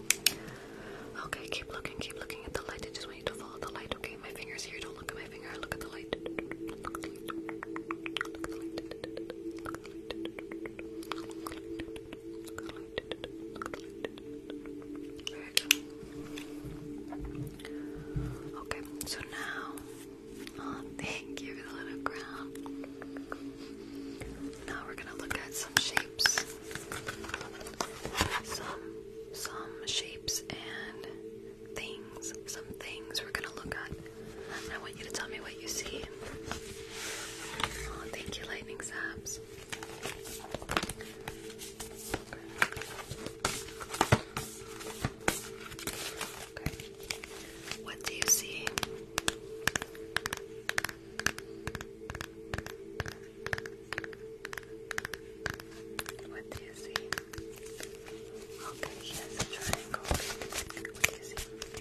Okay, keep looking, keep looking at the light. It just want you to follow the light, okay? My finger's here. Don't look at my finger. Look at the light. Okay, so now, oh, thank you little crown. Now we're gonna look at some shapes some some shapes and things. Some things we're gonna look at. I want you to tell me what you see. Oh, thank you, lightning saps. What do you see? What do you see? Okay, here's a triangle. What do you see? What do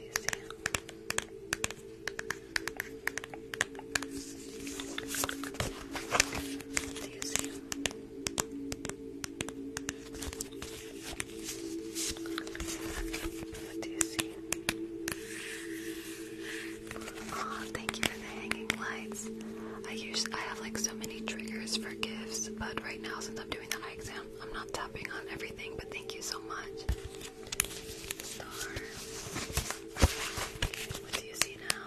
you see? What do you see? What do you see? Oh, thank you for the hanging lights. I use I have like so many triggers for gifts, but right now since I'm doing the eye exam, I'm not tapping on everything, but thank you so much. Star. What do you see now?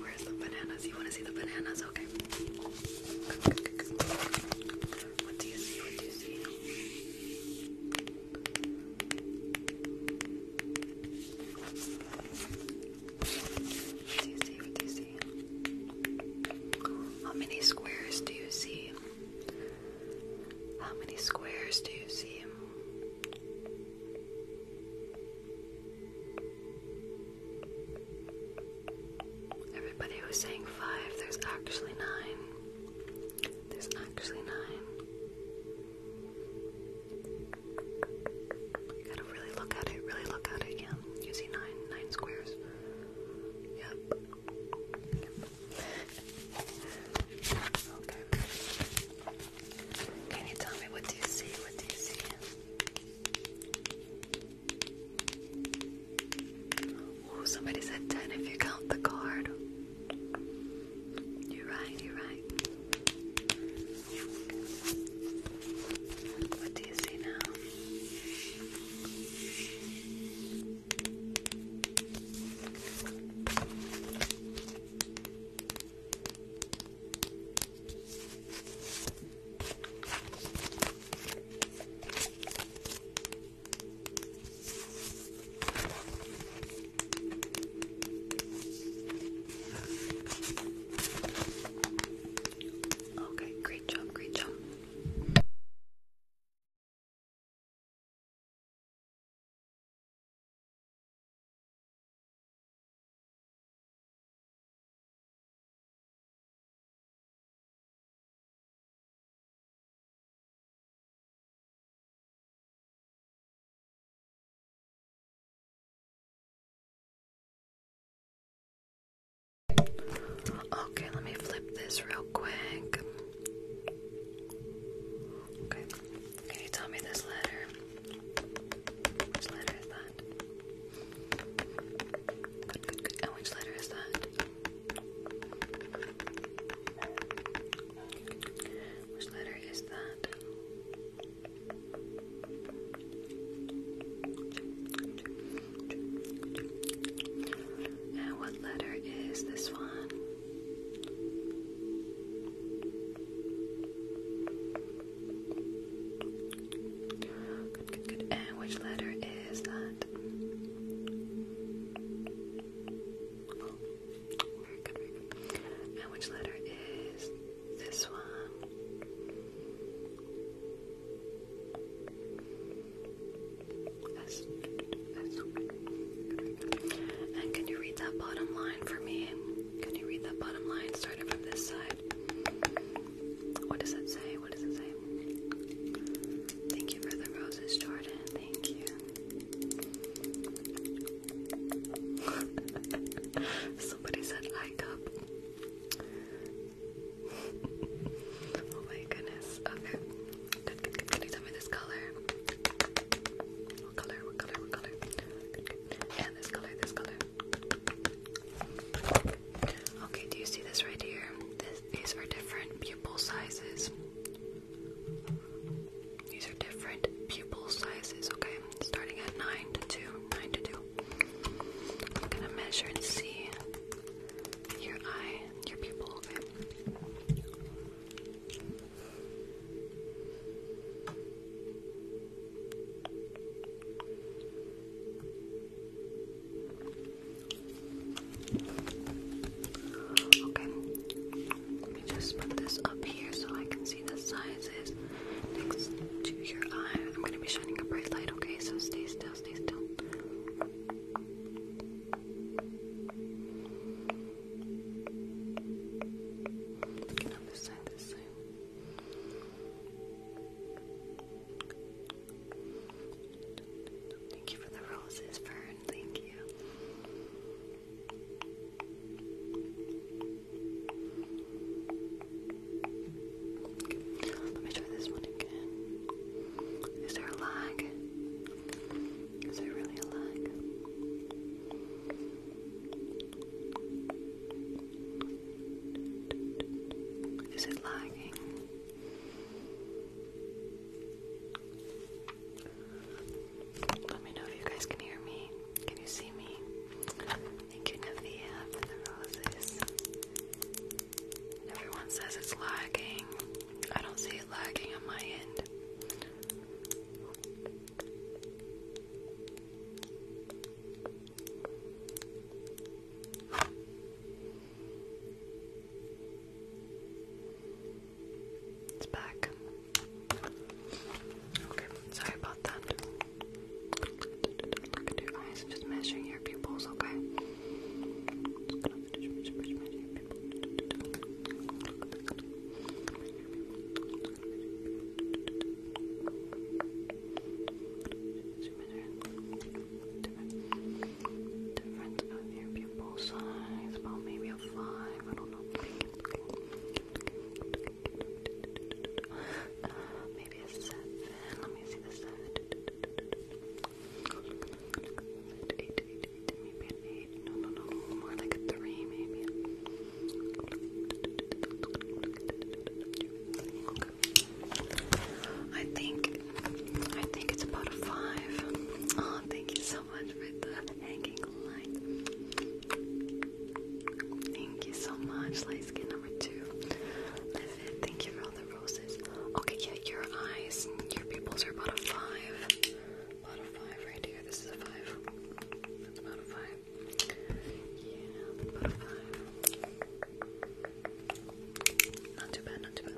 Where's the bananas? You want to see the bananas? Okay. What do you see? What do you see? How many squares do you see? How many squares do you see? Everybody was saying five, there's actually nine. There's actually nine. gotta really look at it, really look at it, yeah. You see nine, nine squares. yep. Okay. Can you tell me what do you see? What do you see? Oh, somebody said 10 if you count the card. You're right, you're right. What do you see now? Okay, great job, great job. Okay, let me flip this real quick. Okay, can you tell me this letter? Which letter is that? And which letter is that? Which letter is that? And what letter is this one? And which letter is that? And which letter is this one? S. And can you read that bottom line for me? Can you read that bottom line starting from this side? What does it say? What does it say? Thank you for the roses, Jordan. Thank you. Somebody said like up. oh my goodness. Okay. Can you tell me this color? What color? What color? What color? Good, this color, this color. Okay, do you see this right here? these are different pupil sizes. These are different pupil sizes, okay? Starting at 9 to 2. 9 to 2. I'm gonna measure and see your eye, your pupil, okay? Okay, let me just put this up here so I can see the sizes next to your eye. I'm gonna be shining a bright light, okay? So stay still, stay still. Looking on this side, this side. Thank you for the roses, Fern thank you. Let me try this one again. Is there a lag? Is there really a lag? Is it lagging? Let me know if you guys can hear me. Can you see me? Thank you, Navia, for roses. Everyone says it's lagging. I don't see it lagging on my end. It's back. Okay, sorry about that. Look at your eyes, just measuring your pupils, okay? Just gonna finish, finish, your pupil size, about maybe five. I don't know. maybe a seven. Let me see the seven. Eight, eight, eight. No, no, no. More like a three, maybe. I think I think it's about a five. Oh, thank you so so much for the hanging light. Thank you so much, light skin number two. thank you for all the roses. Okay, yeah, your eyes, your pupils are about a five. About a five right here. This is a five. That's about a five. Yeah, about a five. Not too bad, not too bad.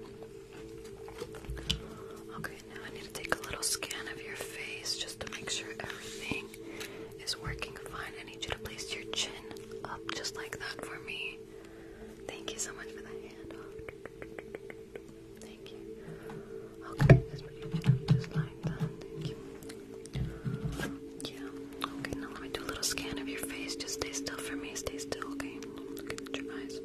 Okay, now I need to take a little scan of your face just to make sure everything is working fine. I need you to place your chin up just like that for me. Thank you so much for the handoff. Thank you. Okay, just like that. Thank you. Okay, now let me do a little scan of your face. Just stay still for me. Stay still, okay? Look your eyes.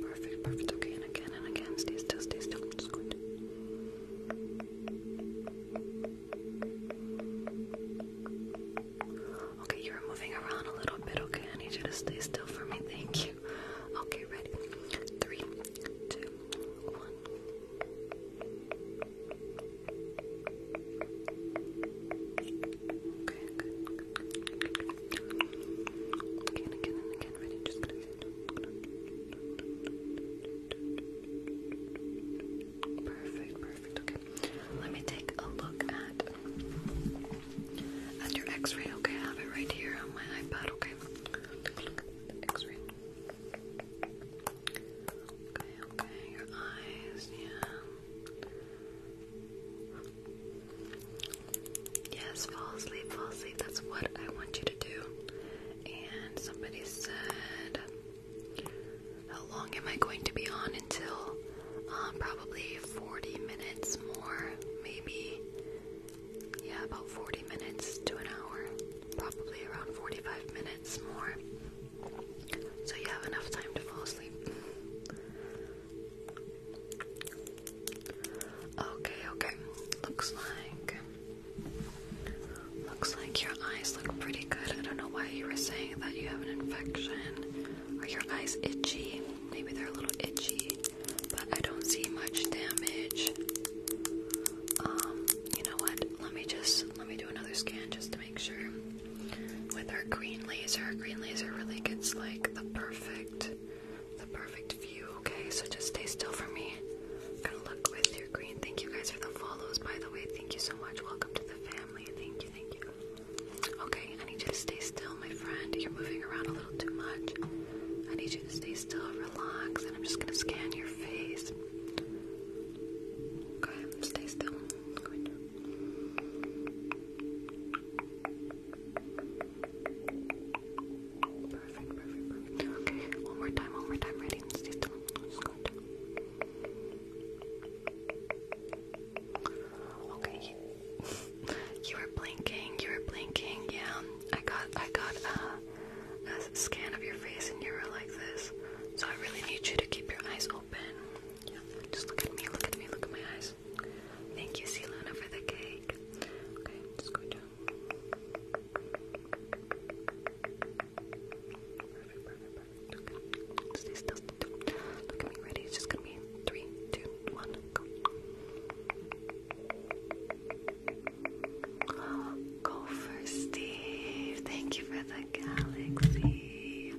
Perfect, perfect. Okay, and again and again. Stay still, stay still. i just going Okay, you're moving around a little bit. Okay, I need you to stay still for me. Thank you. Okay, ready? Three, two, one. Okay, good, good. Again, again, again, ready, just gonna Perfect, perfect, okay. Let me take a look at at uh, your x-ray, okay? I have it right here on my iPad, okay? x-ray. Okay, okay, your eyes, yeah. Yes, fall asleep, fall asleep. That's what I want you to do. And somebody said, How long am I going to be on until? Um, probably 40 minutes more, maybe. Yeah, about 40 minutes to an hour. Probably around 45 minutes more. So you have enough time to fall asleep. Okay, okay. Looks like looks like your eyes look pretty good. I don't know why you were saying that you have an infection. Are your eyes itchy? Maybe they're a little itchy, but I don't see much damage. Um, you know what? Let me just let me do another scan just to make sure with our green laser. Our green laser really gets like the perfect, the perfect view. Okay, so just stay still for me. I'm gonna look with your green. Thank you guys for the follows, by the way. Thank you so much. Welcome to the family. Thank you, thank you. Okay, I need you to stay still, my friend. You're moving around a little too much. I need you to stay still, relax, and I'm just gonna scan your face. Okay, stay still. Perfect, perfect, perfect. Okay, one more time, one more time. Ready? Stay still. Okay, you were blinking. You were blinking. Yeah, I got, I got uh, a, a scan of your face, and you were like this. So I really need you to keep your eyes open. Yeah, just look at me. Look at me. Look at my eyes. Thank you, Selena, for the cake. Okay, I'm just going Look at me, ready? It's just gonna be three, two, one, Go for Steve. Thank you for the galaxy.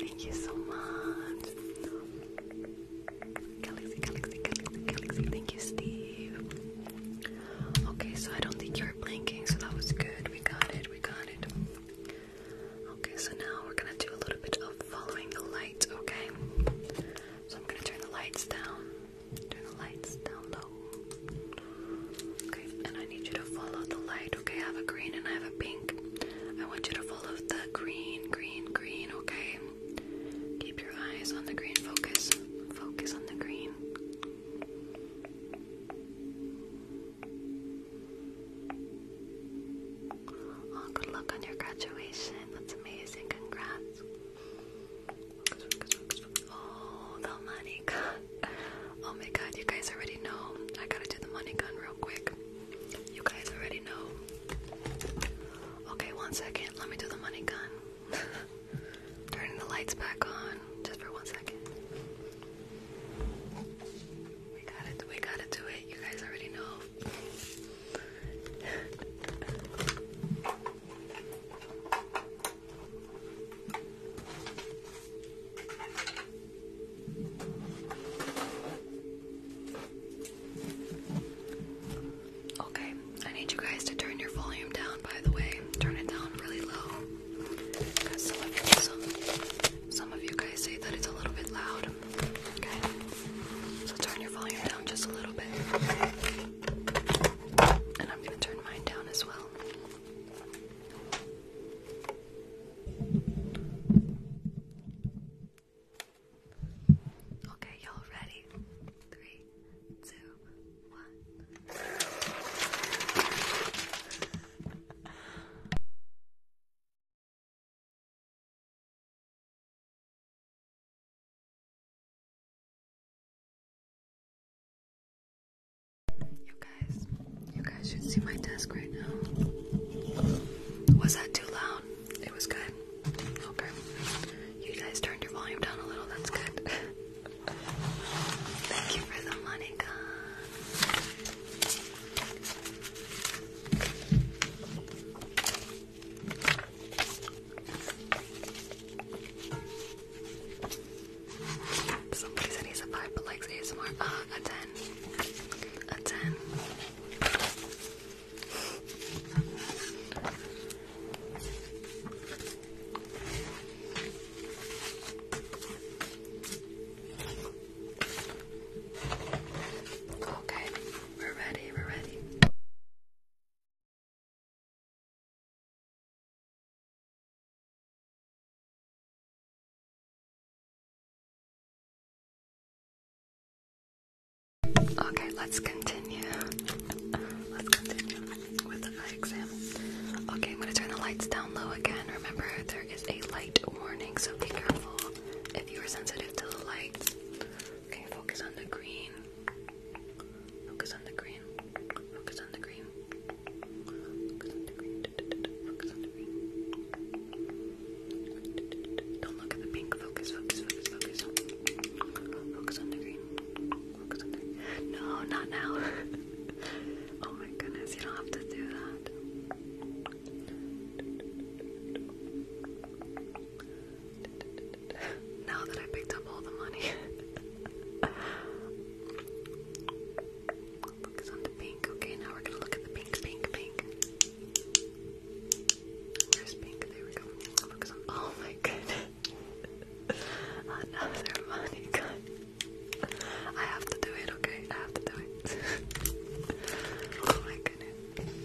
Thank you so much. Galaxy, Galaxy, Galaxy, Thank you, Steve. Okay, so I don't think you're blinking, so that was good. We got it, we got it. Okay, so now we're gonna do a little bit of following the light, okay? So I'm gonna turn the lights down. Turn the lights down low. Okay, and I need you to follow the light. Okay, I have a green and I have a pink. I want you to follow the green, green, green. Okay, keep your eyes on the green. Focus, focus on the green. Oh, good luck on your graduation. That's amazing. Congrats. Oh, the money gun. Oh my god, you guys already know. I gotta do the money gun real quick. You guys already know. Okay, one second. Let me do the money gun. Turning the lights back on just for one second. We gotta, we gotta do it. You guys already know. Okay, I need you guys to turn your volume down, by the way. Turn it down really low. some of, some of you guys say that it's a little bit loud. Okay? So turn your volume down just a little bit. And I'm going to turn mine down as well. Okay, y'all ready? Three, two, one. You guys, you guys should see my desk right now. Was that too loud? It was good. Okay. You guys turned your volume down a little, that's good. Thank you for the Monica. Somebody said he's a 5 but likes ASMR. Uh, a 10. A 10. Okay, we're ready, we're ready. Okay, let's continue. Let's continue with the eye exam. Okay, I'm gonna turn the lights down low again. Remember, there is a light warning, so be careful if you are sensitive to the lights. Okay, focus on the green. Focus on the green. Focus on the green. Focus on the green. Don't look at the pink. Focus, focus, focus, focus. Focus No, not now. oh my goodness, you don't have to do that. Now that I picked up all the money. Focus on the pink. Okay, now we're gonna look at the pink, pink, pink. Where's pink? There we go. Oh my goodness. Another money gun. I have to do it, okay? I have to do it. oh my goodness.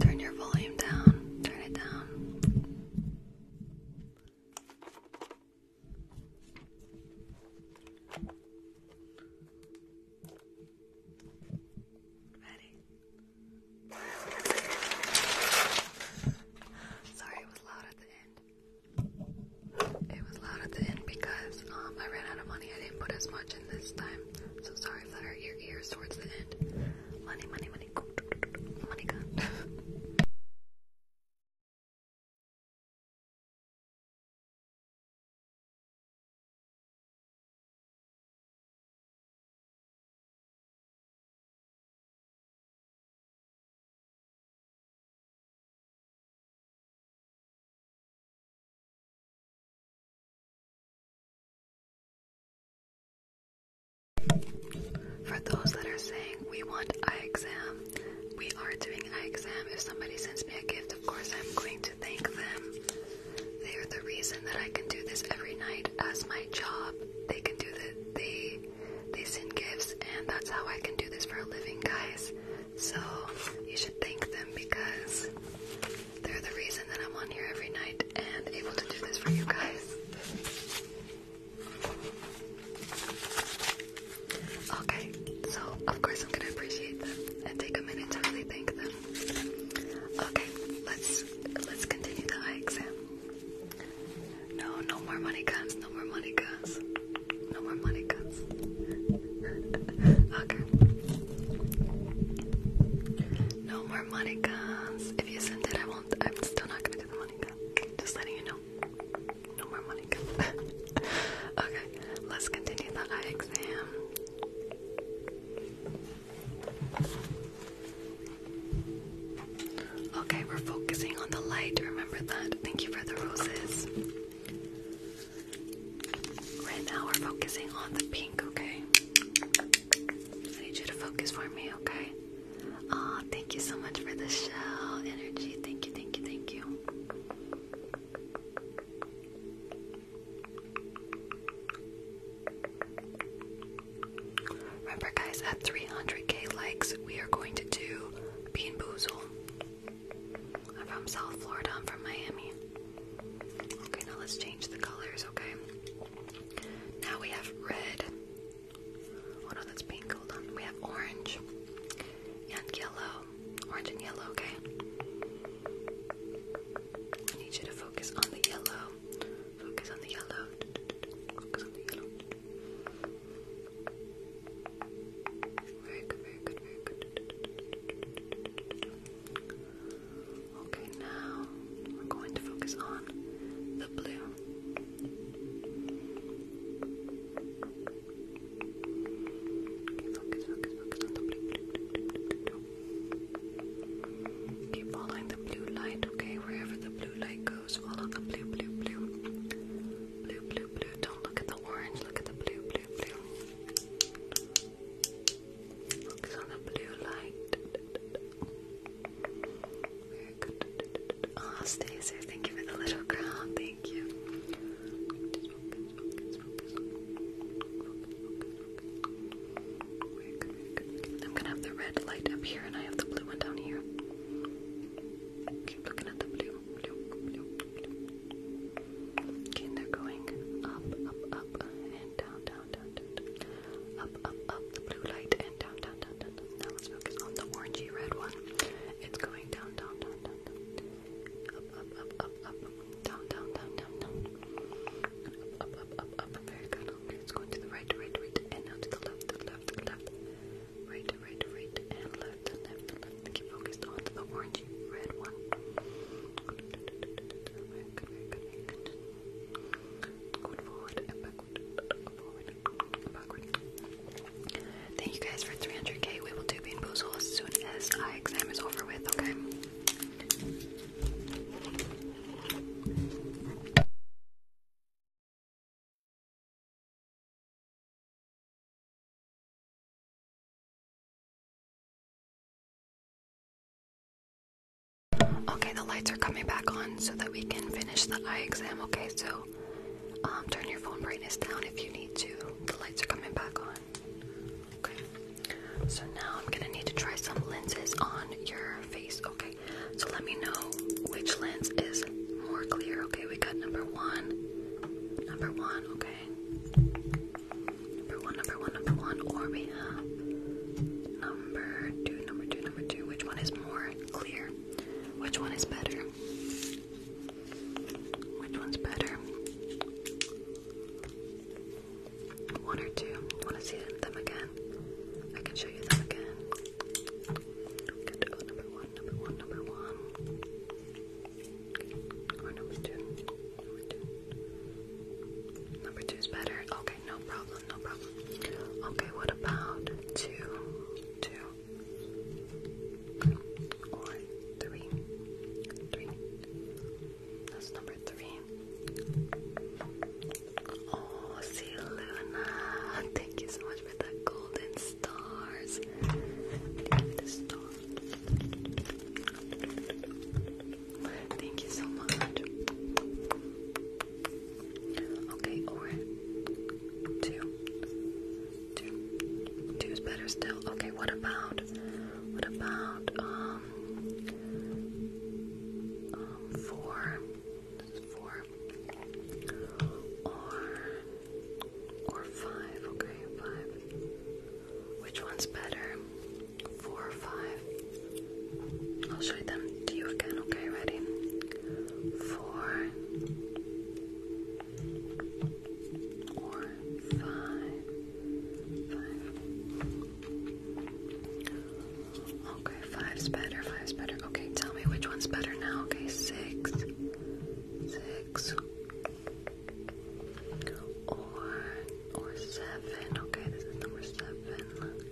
Turn your volume down. Turn it down. Ready? Sorry, it was loud at the end. It was loud at the end because um, I ran out of money. I didn't put as much in this time. So sorry if that hurt your ears towards the end. Money, money, money. Money gun. For those that are saying we want eye exam, we are doing eye exam. If somebody sends me a gift, of course I'm going to thank them. They are the reason that I can do this every night as my job. They can do that. They they send gifts, and that's how I can do this for a living, guys. So you should thank them because they're the reason that I'm on here every night and able to do this for you guys. Okay, so of course I'm going to appreciate them and take a minute to really thank them. Okay, let's let's continue the eye exam. No, no more money comes. No more money guns. No more monikers. okay. No more monikers. If you send it, I won't. I'm still not gonna do the monika. Just letting you know. No more monika. okay. Let's continue the eye exam. Okay, we're focusing on the light. Remember that. Thank you for the roses. Right now we're focusing on the pink, okay? I need you to focus for me, okay? oh, thank you so much for the show, energy. Thank you, thank you, thank you. Remember guys, at 300k likes, we are going to do Bean Boozle. I'm from South Florida, I'm from Miami. Okay, now let's change the colors, okay? Now we have red. Oh no, that's pink, hold on. We have orange and yellow. Orange and yellow, okay? I need you to focus on the yellow. Focus on the yellow. Focus on the yellow. Very good, very good, very good. Okay, now we're going to focus on the blue. Okay, focus, focus, focus on the blue, blue, blue, blue, Keep following the blue light, okay? Wherever the blue light goes, follow the blue, blue, blue. Blue, blue, blue. Don't look at the orange, look at the blue, Focus on the blue light. Very good. Ah, oh, Stacer, thank you for the little crown. Thank you. I'm gonna have the red light up here, and I have the blue one down here. Keep looking at the blue, Okay, and they're going up, up, up, and down, down, down, down, down. Up, up, up, the blue light, and down, down, down, down, down. Now let's focus on the orangey red one. It's going down, down, down, down, down. Up, up, up, up, up. Down, down, down, down, down. Up, up, up, up, up. Very good. Okay, it's going to the right, right, right, and now to the left, to the left, to the left. Right, right, right, and left, left, left. Keep focused on the orange. Thank you guys for 300k. We will do Bean Boozle as soon as I exam is over with, okay? Okay, the lights are coming back on so that we can finish the eye exam. Okay, so um, turn your phone brightness down if you need to. The lights are coming back on. Okay, so now I'm gonna need to try some lenses on your face. Okay, so let me know which lens is more clear. Okay, we got number one, number one. Okay, Number one, number one, number one, or number two, number two, number two. Which one is more clear? Which one is better? Which one's better? One or two? Want to see them again? I can show you them again. number one, number one, number one. Oh, number two. Number two. is better. Okay, no problem, no problem. Okay, what about two? That's number three. Oh, see Luna. Thank you so much for the golden stars. Thank you so much. Okay, or is better still. Okay, what about what about um, um four? four. Or or five, okay, five. Which one's better? Four or five? I'll show them to you again, okay? Ready? Four Okay, five's better, five's better. Okay, tell me which one's better now, okay? Six. Six. Or or seven. Okay, this is number seven.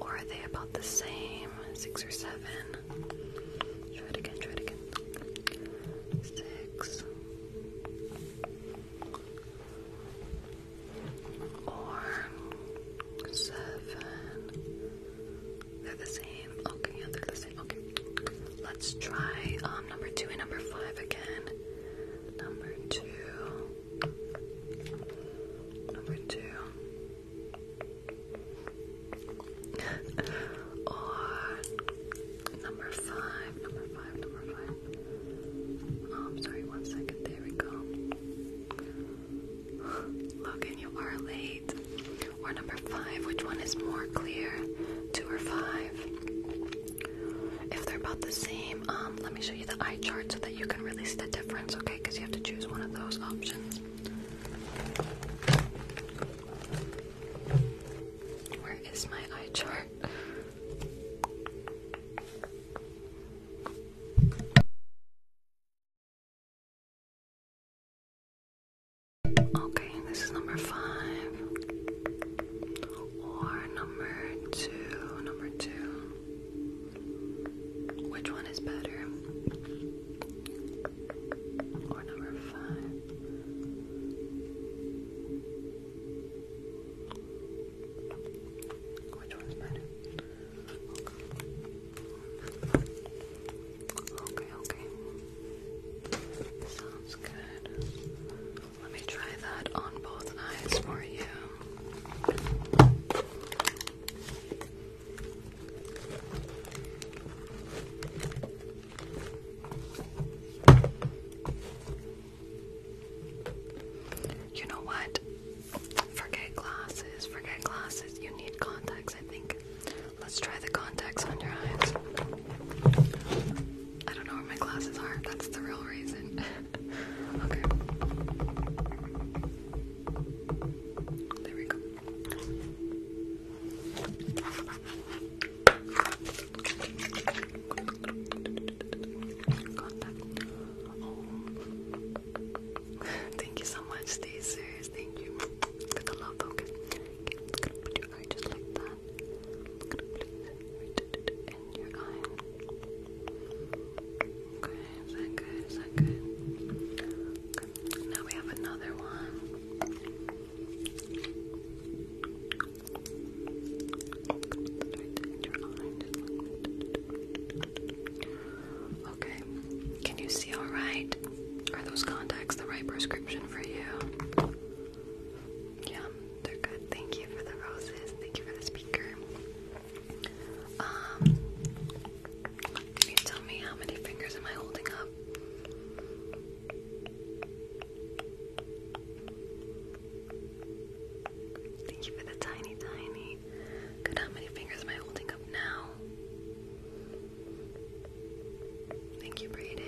Or are they about the same? Six or seven? Try it again, try it again. Six. Or seven. They're the same. Okay, they're the it. Okay. Let's try um, number two and number five again. Number two. Number two. or number five. Number five. Number five. Oh, I'm um, sorry. One second. There we go. Logan, you are late. Or number five. Which one is more clear? Two or five? If they're about the same, um, let me show you the eye chart so that you can really see the difference, okay? Because you have to choose one of those options. Where is my eye chart? Okay, this is number five. Or number two. Number two. Which one is better? Or number five? Which one's better? Okay, okay. Sounds good. Let me try that on both eyes for you. You know what? Forget glasses, forget glasses. You need contacts, I think. Let's try the contacts on your eyes. I don't know where my glasses are. That's the real reason. okay. There we go. Oh. Thank you so much, Stacers. Thank you. For the love, okay. okay. just like that. Okay, is that good? Is that good? Now we have another one. Okay. Can you see all right? Are those contacts the right prescription for you? Yeah, they're good. Thank you for the roses. Thank you for the speaker. can um, you tell me how many fingers am I holding up? Thank you for the tiny, tiny. Good, how many fingers am I holding up now? Thank you, Brayden.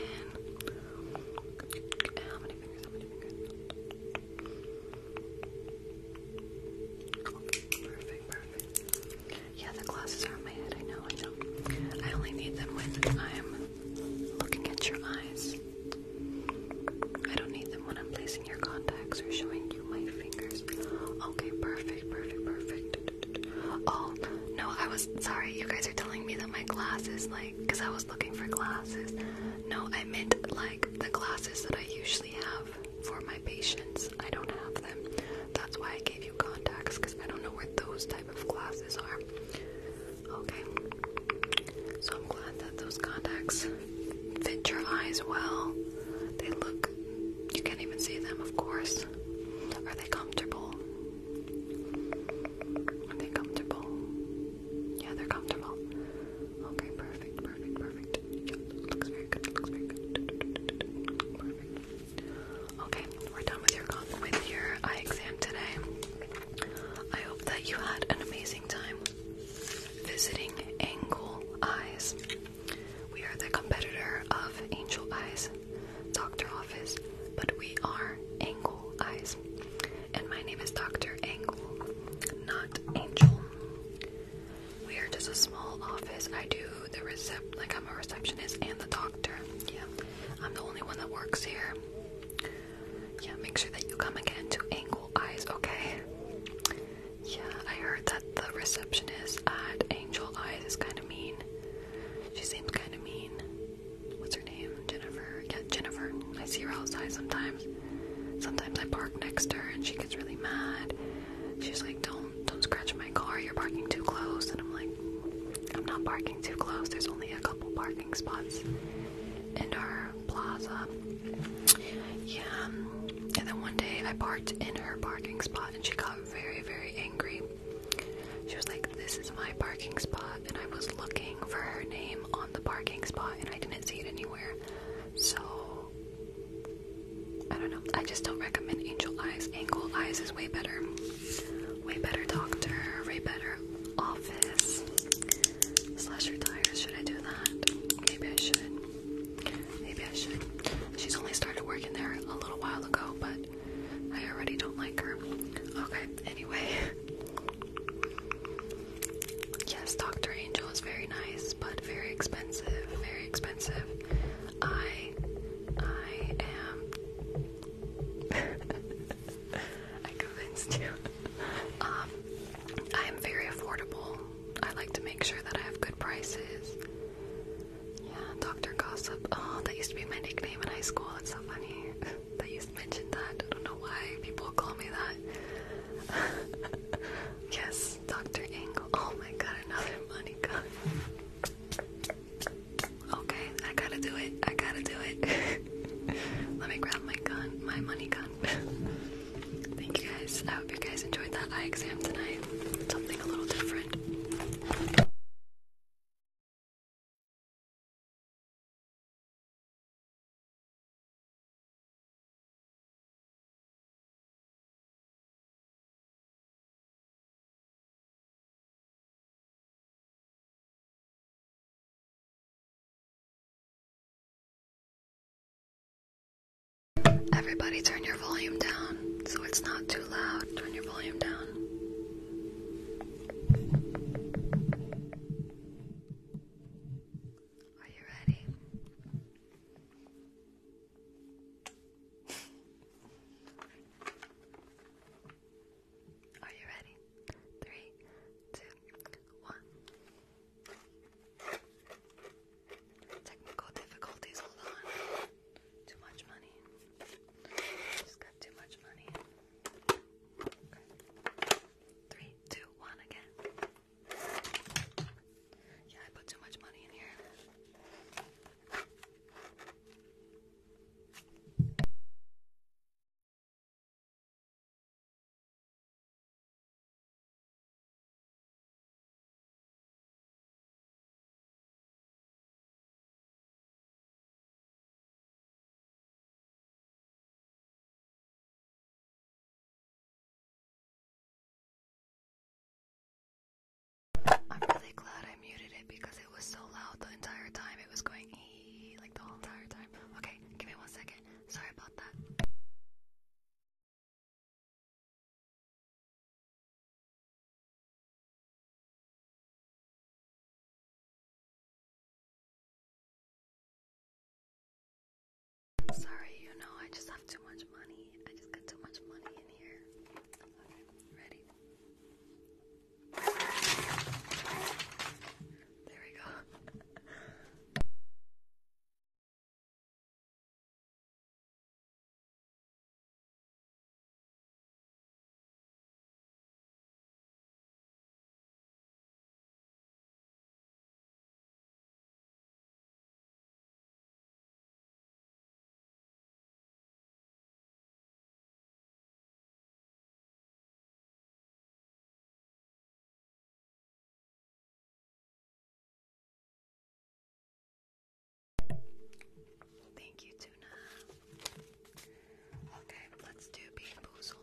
Yeah, the glasses are on my head, I know, I know. I only need them when I'm looking at your eyes. I don't need them when I'm placing your contacts or showing you my fingers. Okay, perfect, perfect, perfect. Oh, no, I was sorry, you guys are telling me that my glasses, like, because I was looking for glasses. No, I meant like the glasses that I usually have for my patients. I don't have them. That's why I gave you contacts, because I don't know where those type of glasses are. Okay. So I'm glad that those contacts fit your eyes well. They look, you can't even see them, of course. Are they comfortable? Are they comfortable? Yeah, they're comfortable. Okay, perfect, perfect, perfect. Yeah, looks very good, looks very good. Perfect. Okay, we're done with your with your eye exam today. I hope that you had an amazing time visiting Angle Eyes. We are the competitor of Angel Eyes Doctor Office but we are angle eyes. And my name is Dr. Angle, not Angel. We are just a small office. I do the recep like I'm a receptionist and the doctor. Yeah. I'm the only one that works here. Yeah, make sure that you come again to Angle Eyes, okay? Yeah, I heard that the receptionist at Angel Eyes is kind of mean. She seems kind of mean what's her name? Jennifer. Yeah, Jennifer. I see her outside sometimes. Sometimes I park next to her and she gets really mad. She's like, Don't don't scratch my car, you're parking too close and I'm like, I'm not parking too close, there's only a couple parking spots in our plaza. Yeah. And then one day I parked in her parking spot and she got very, very angry. She was like, this is my parking spot, and I was looking for her name on the parking spot, and I didn't see it anywhere. So, I don't know. I just don't recommend Angel Eyes. Angel Eyes is way better. Way better doctor, way better office. slash retire. should I do that? Maybe I should. Maybe I should. She's only started working there a little while ago, but I already don't like her. Okay, anyway. Yes, Dr. Angel is very nice, but very expensive. Very expensive. I, I am. I convinced you. um, I am very affordable. I like to make sure that I have good prices. Yeah, Doctor Gossip. Oh, that used to be my nickname in high school. It's so funny. that used always that. I don't know why people call me that. yes, Dr. Engel. Oh my god, another money gun. Okay, I gotta do it. I gotta do it. Let me grab my gun, my money gun. Thank you guys. I hope you guys enjoyed that eye exam tonight. Something a little different. Everybody turn your volume down so it's not too loud. Turn your volume down. Are you ready? Are you ready? Three, two, one. Technical difficulties, hold on. Too much money. Just got too much money. Three, two, one again. Yeah, I put too much money in here. I'm really glad I muted it because it was so loud the entire time. It was going ee like the whole entire time. Okay, give me one second. Sorry about that. Sorry, you know, I just have too much money. I just got too much money in here. Okay, ready? There we go. Thank you, Tuna. Okay, let's do bean boozled.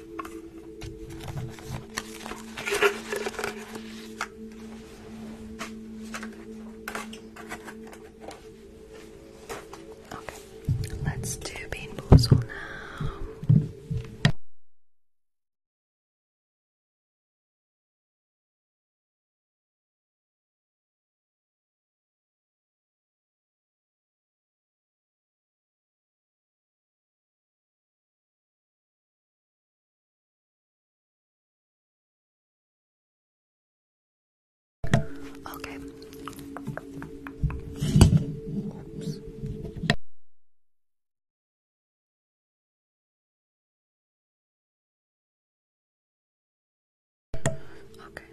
Okay, let's do bean boozle now. Okay. Oops. Okay.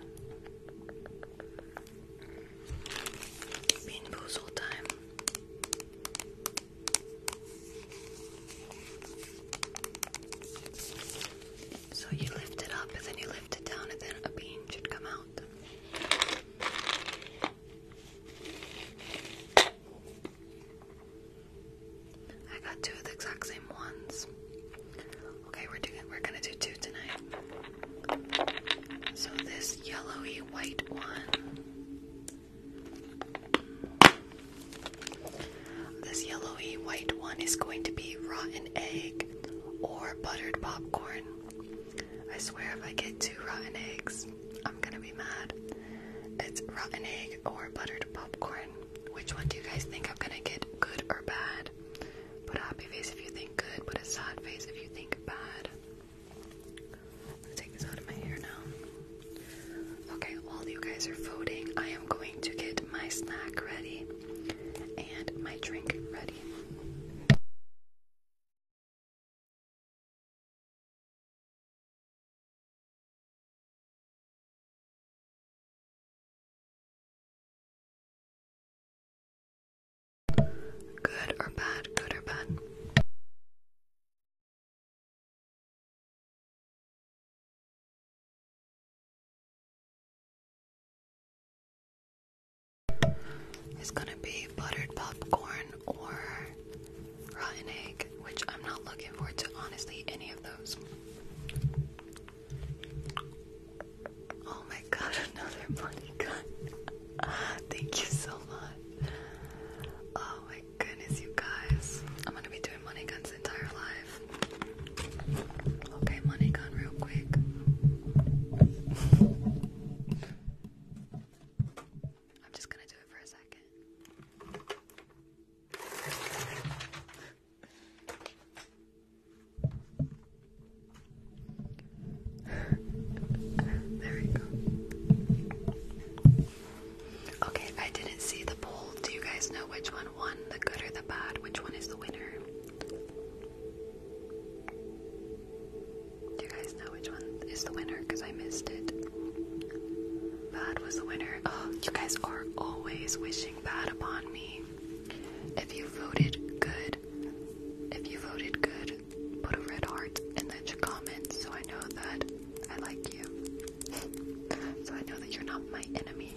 Bean time. So you lift it up and then you lift it down and then a bean should come out. I got two of the exact same ones. Okay, we're doing we're gonna do two tonight. So this yellowy white one this yellowy white one is going to be rotten egg or buttered popcorn. I swear if I get two rotten eggs, I'm gonna be mad. It's rotten egg or buttered popcorn. Which one do you guys think I'm gonna get, good or bad? Put a happy face if you think good, put a sad face if you think bad take this out of my hair now. Okay, while you guys are voting, I am going to get my snack ready and my drink ready. Good or bad, good or bad. It's gonna be buttered popcorn or rotten egg, which I'm not looking forward to, honestly, any of those. Oh my god, another money gun. Thank you so much. Oh goodness, you guys. I'm gonna be doing money guns entire life. Okay, money gun real quick. I'm just gonna do it for a second. there we go. Okay, I didn't see the poll. Do you guys know which one won, the good or the bad? Which one is the winner? Do you guys know which one is the winner? Because I missed it. Bad was the winner. Oh, you guys are always wishing bad upon me. If you voted good, if you voted good, put a red heart in the comment so I know that I like you. so I know that you're not my enemy.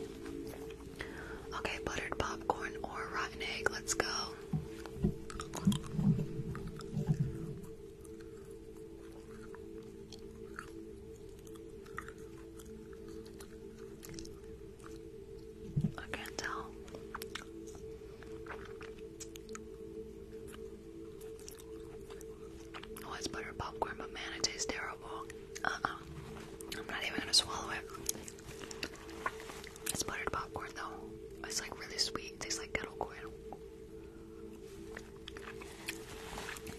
Okay, buttered popcorn or rotten egg. Let's go. I can't tell. Oh, butter popcorn, but man, it tastes terrible. Uh-uh. I'm not even gonna swallow it. It's buttered popcorn, though. It's like really sweet. tastes like kettle corn.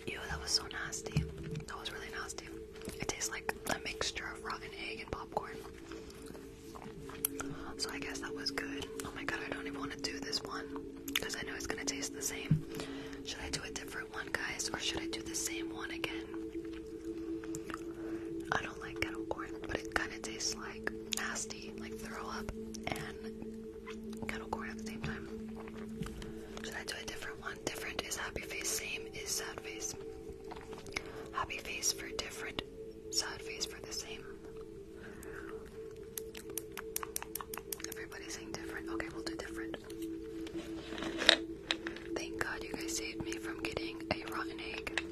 Ew, that was so nasty. That was really nasty. It tastes like a mixture of rotten egg and popcorn. So I guess that was good. Oh my god, I don't even want to do this one because I know it's gonna taste the same. Should I do a different one, guys, or should I do the same one again? I don't like kettle corn, but it kind of tastes like nasty, like throw up and kettle corn at the same time. Should I do a different one? Different is happy face, same is sad face. Happy face for different, sad face for the same. Everybody's saying different. Okay, we'll do different. Thank God you guys saved me from getting a rotten egg.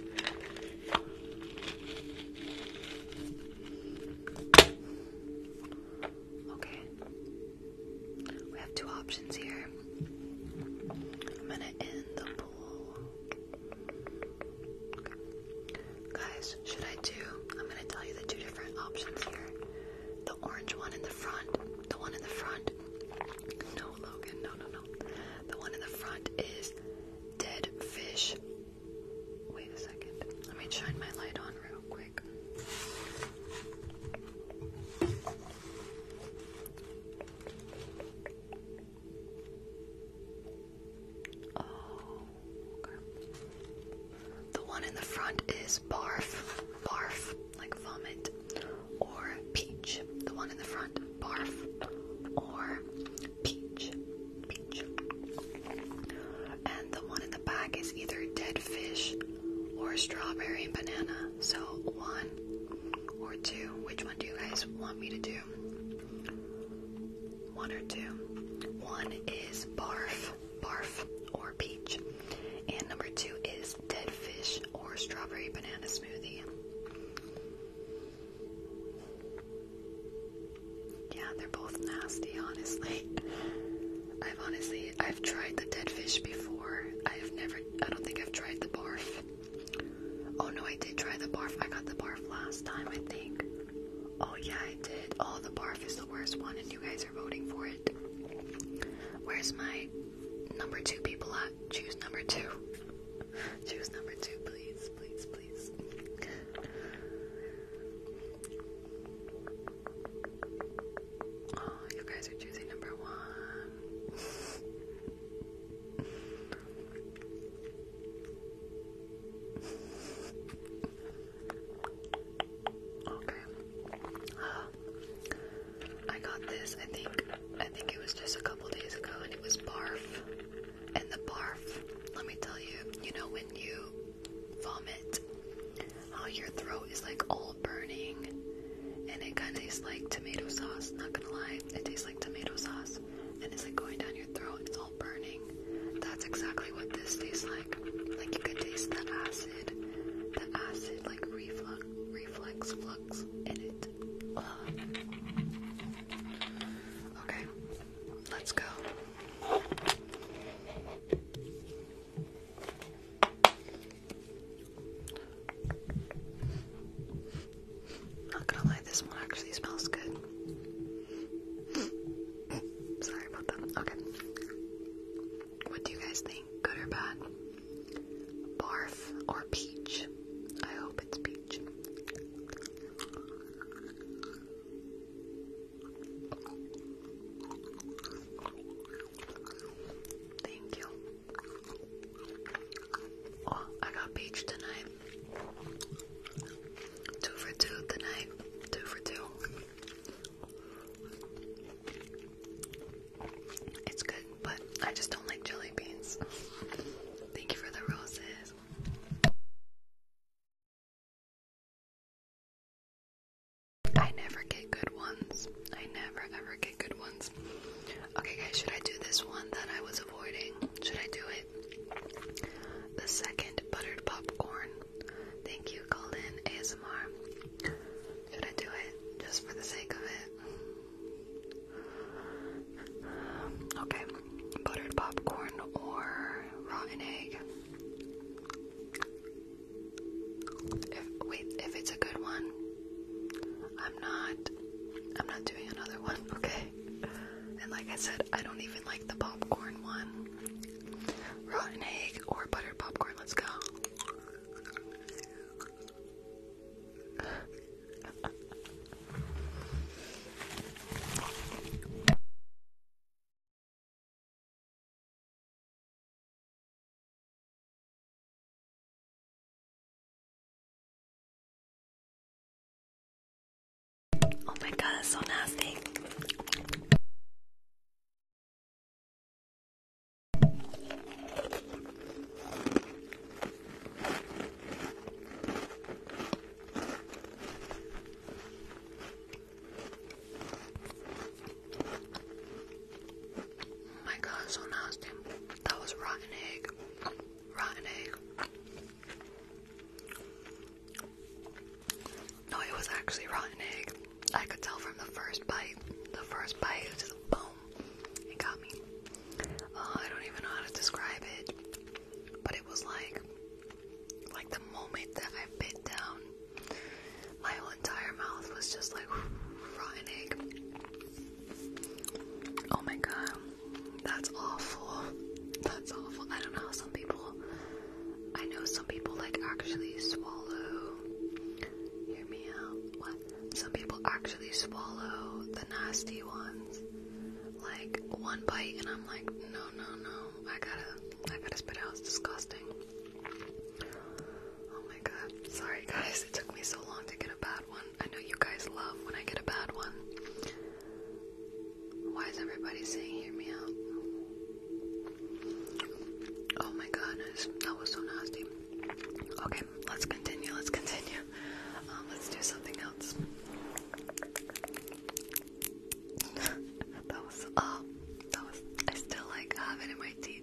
Okay. We have two options here. I'm gonna end the poll. Guys, should I do? I'm gonna tell you the two different options here. The orange one in the front, the one in the front. No, Logan, no, no, no. The one in the front is dead fish. Wait a second. Let me shine my light on real quick. Oh, the one in the front is barf, barf, like vomit, or peach. The one in the front, barf, or peach, peach. And the one in the back is either dead fish or strawberry and banana. So one or two. Which one do you guys want me to do? One or two. One is barf barf, or peach. And number two is dead fish or strawberry banana smoothie. Yeah, they're both nasty, honestly. I've honestly, I've tried the dead fish before. I have never, I don't think I've tried the barf. Oh no, I did try the barf. I got the barf last time, I think. Oh yeah, I did. All oh, the barf is the worst one, and you guys are voting for it. Where's my number two people at? Choose number two. Choose number two, please, please, please. Oh, you guys are choosing number one. Okay. I got this. I think. I think it was just a couple days ago, and it was barf. And the barf. Let me tell you. You know when you vomit, how your throat is like all burning, and it kind of tastes like tomato sauce. Not gonna lie, it tastes like tomato sauce, and it's like going down your throat. It's all burning. That's exactly what this tastes like. Like you could taste the acid, the acid like reflux, reflux, flux in it. Okay, let's go. Not gonna lie, this one actually smells good. Sorry about that. Okay. What do you guys think? Good or bad? Barf or peach? I hope it's peach. Thank you. Oh, I got peach tonight. Two for two tonight. Two for two. It's good, but I just don't like jelly beans. Thank you for the roses. I never get good ones. I never ever get good ones. Okay, guys, should I do this one that I was avoiding? Should I do it? The second buttered popcorn. Thank you, Golden ASMR. Should I do it just for the sake of it? okay, buttered popcorn or rotten egg. If, wait, if it's a good one, I'm not. I'm not doing another one. Okay. And like I said, I don't even like the popcorn one. Rotten egg or buttered popcorn. Let's go. Oh my god, that's so nasty. Oh my god, so nasty. That was rotten egg. Rotten egg. No, it was actually rotten egg. I could tell from the first bite. The first bite was the bone. It got me. Uh, I don't even know how to describe it. But it was like like the moment that I bit down, my entire mouth was just like rotten egg. Oh my god. That's awful. That's awful. I don't know some people I know some people like actually swallow. Hear me out. What? Some people actually swallow the nasty ones. Like one bite, and I'm like, no, no, no. I gotta, I gotta spit out. It's disgusting. Oh my god. Sorry guys, it took me so long to get a bad one. I know you guys love when I get a bad one. Why is everybody saying hear me out? Oh my goodness, that was so nasty. Okay, let's continue, let's continue. Um, let's do something else. that was, uh, that was, I still like have it in my teeth.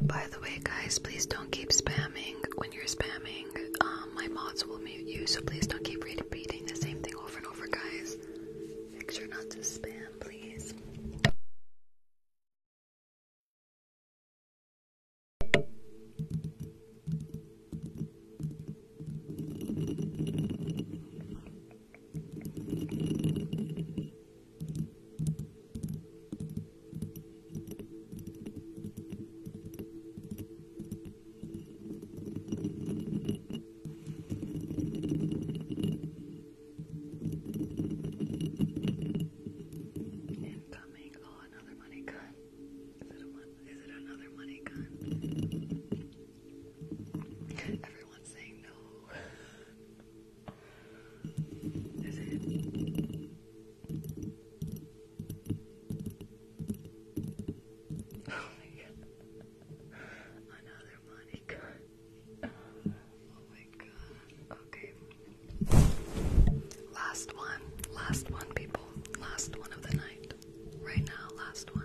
By the way, guys, please don't keep spamming. When you're spamming, um, my mods will mute you, so please don't keep repeating the same thing over and over, guys. Make sure not to spam, please. Incoming. Oh, another money gun. Is it a Is it another money gun? Everyone's saying no. Is it? Oh my god. Another Monica. Oh my god. Okay. Last one. Last one, people. Last one of the night. Right now, last one.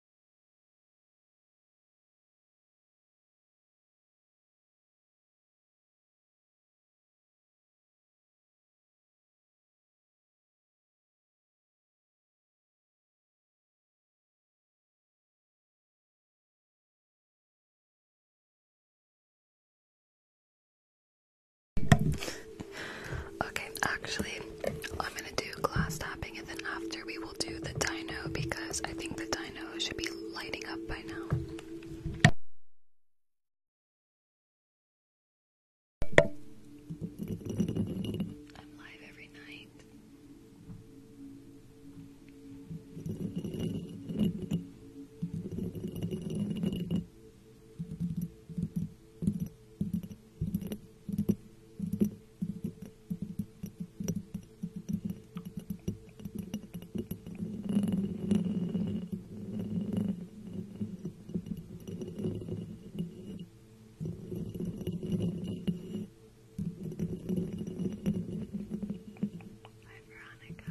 Okay, actually, I'm gonna do glass tapping and then after we will do the dino because I think the dino should be lighting up by now. I'm live every night. Hi, Veronica.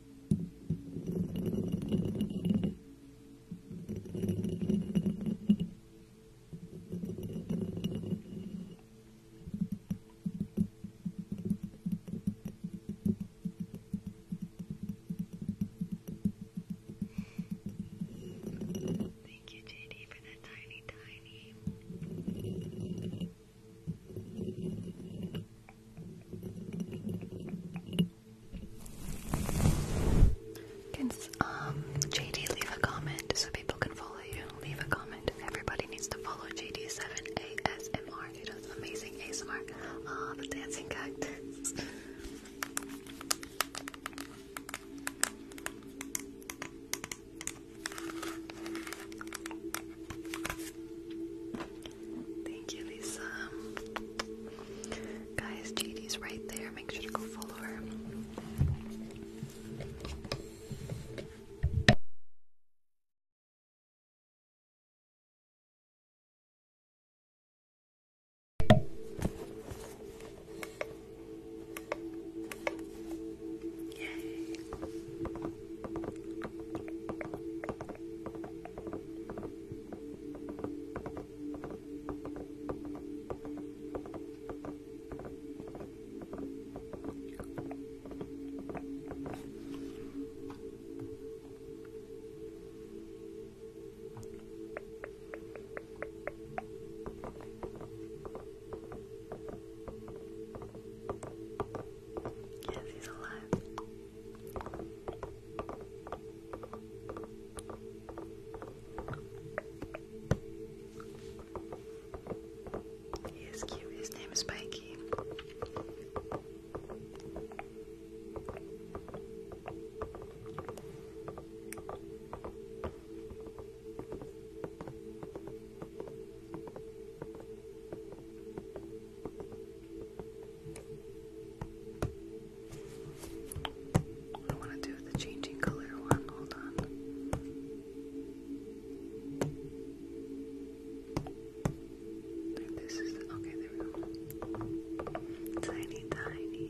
Thank you, JD, for that tiny, tiny. Can um JD leave a comment so people can follow you? Leave a comment. Everybody needs to follow JD7ASMR. He does amazing ASMR. Ah, the dancing cactus. Thank you, Lisa. Guys, JD's right there. Make sure to go follow her. Yes, he's alive. He is cute. His name is Spiky. I want to do the changing color one. Hold on. this is okay. There we go. Tiny, tiny.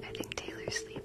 I think Taylor's sleeping.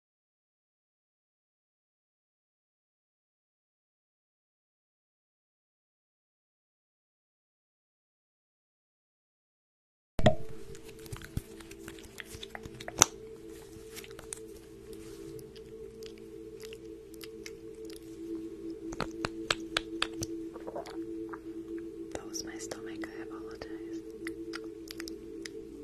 That was my stomach, I apologize.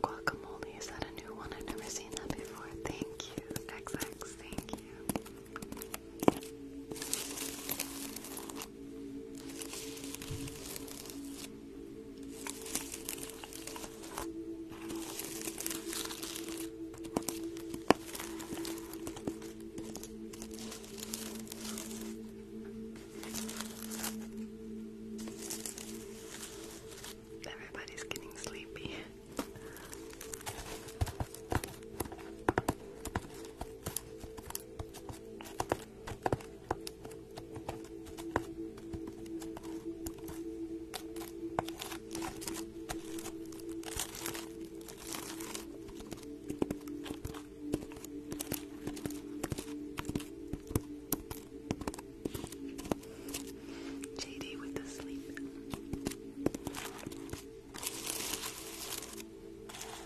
Guacamole, is that a new one? I've never seen that before. Thank you, XX, thank you. Everybody's getting sleepy. JD with the sleep.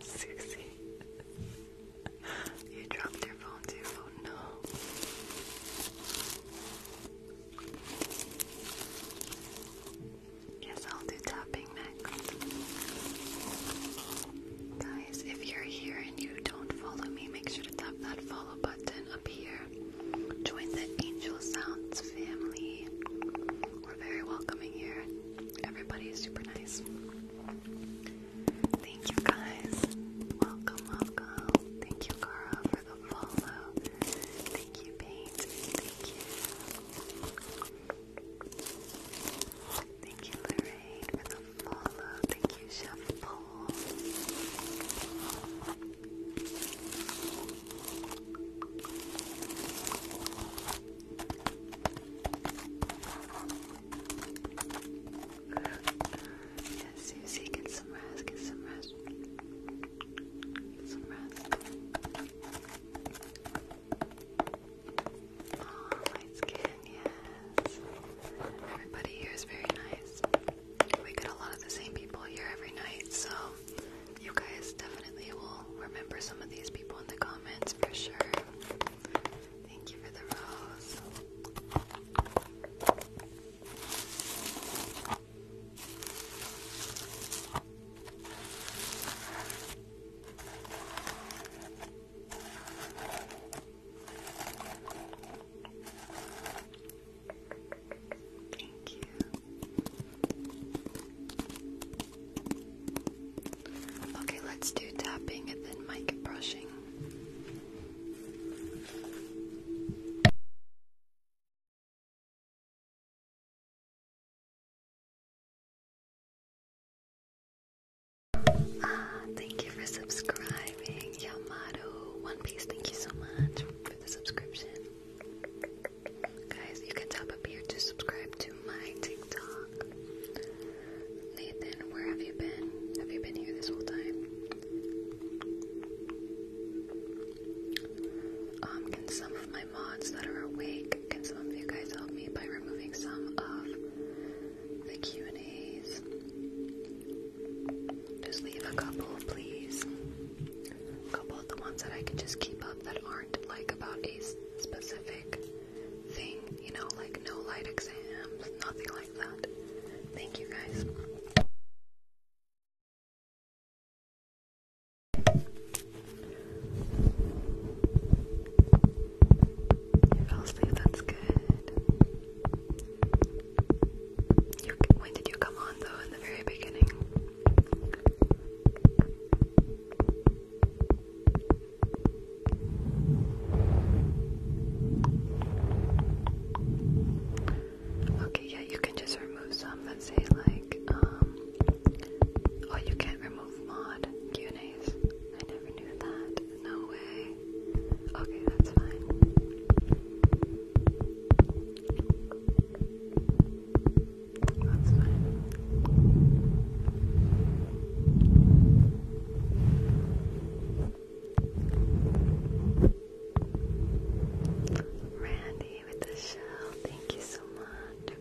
Susie, you dropped your phone too. Oh no. Yes, I'll do tapping next. Guys, if you're here and you don't follow me, make sure to tap that follow button up here. Join the Angel Sounds family. We're very welcoming here. Everybody is super nice. Thank you guys. Welcome, welcome. Thank you, Cara, for the follow. Thank you, Paint. Thank you. Thank you, Lorraine, for the follow. Thank you, Chef Paul. Yeah, Susie, get some rest, get some rest. Get some rest. Oh, light skin, yes. Everybody here is very nice. We get a lot of the same people here every night, so you guys definitely will remember some of these people in the comments for sure. Thank you for the rose. Thank you. Okay, let's do tapping and then mic brushing. Ah, thank you for subscribing, Yamato. One Piece, thank you so much for the subscription. Guys, you can tap up here to subscribe to my TikTok. Nathan, where have you been? Have you been here this whole time? Um, can some of my mods that are awake, can some of you guys help me by removing some of the Q&As? Just leave a couple, please. A couple of the ones that I can just keep up that aren't like about a specific thing, you know, like no light exams, nothing like that. Thank you guys. You fell asleep, that's good. when did you come on though, in the very beginning? Okay, yeah, you can just remove some that say like, um, oh, you can't remove mod Q&As. I never knew that. No way. Okay, that's fine. Randy with the shell, thank you so much.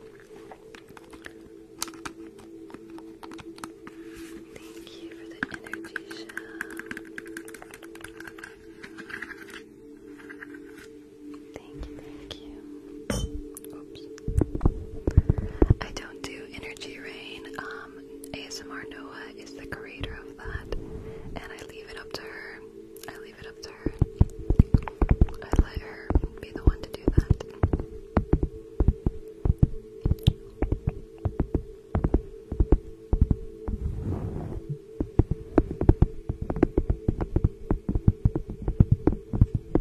Thank you for the energy shell. Thank you, thank you. Oops. I don't do energy rain. Um, ASMR Noah is the creator of that, and I leave it up to her. I leave it up to her. I let her be the one to do that.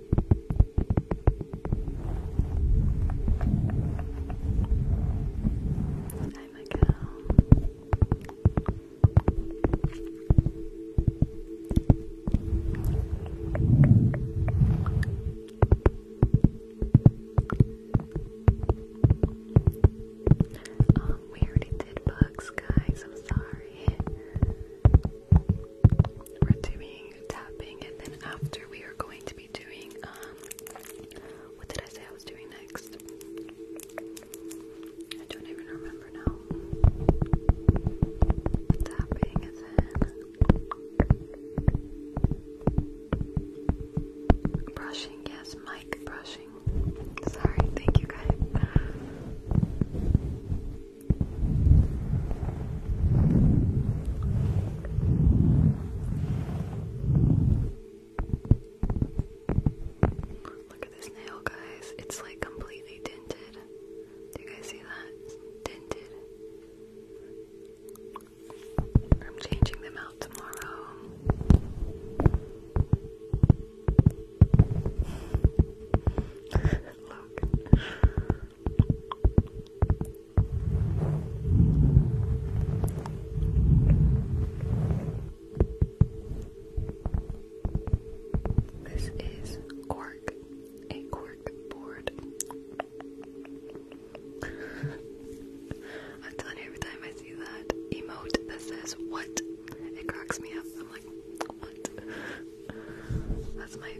Hi, my Um, we already did bugs, guys. I'm sorry. We're doing tapping, and then after we are going to be doing, um, what did I say I was doing next? I don't even remember now. Tapping is in. Brushing, yes, mic brushing. Sorry, thank you guys. Look at this nail, guys. It's like completely tinted. Do you guys see that? It's I'm changing them out tomorrow. Look. This is cork, a cork board. I'm telling you, every time I see that emote that says what, it cracks me up. I'm like, what? That's my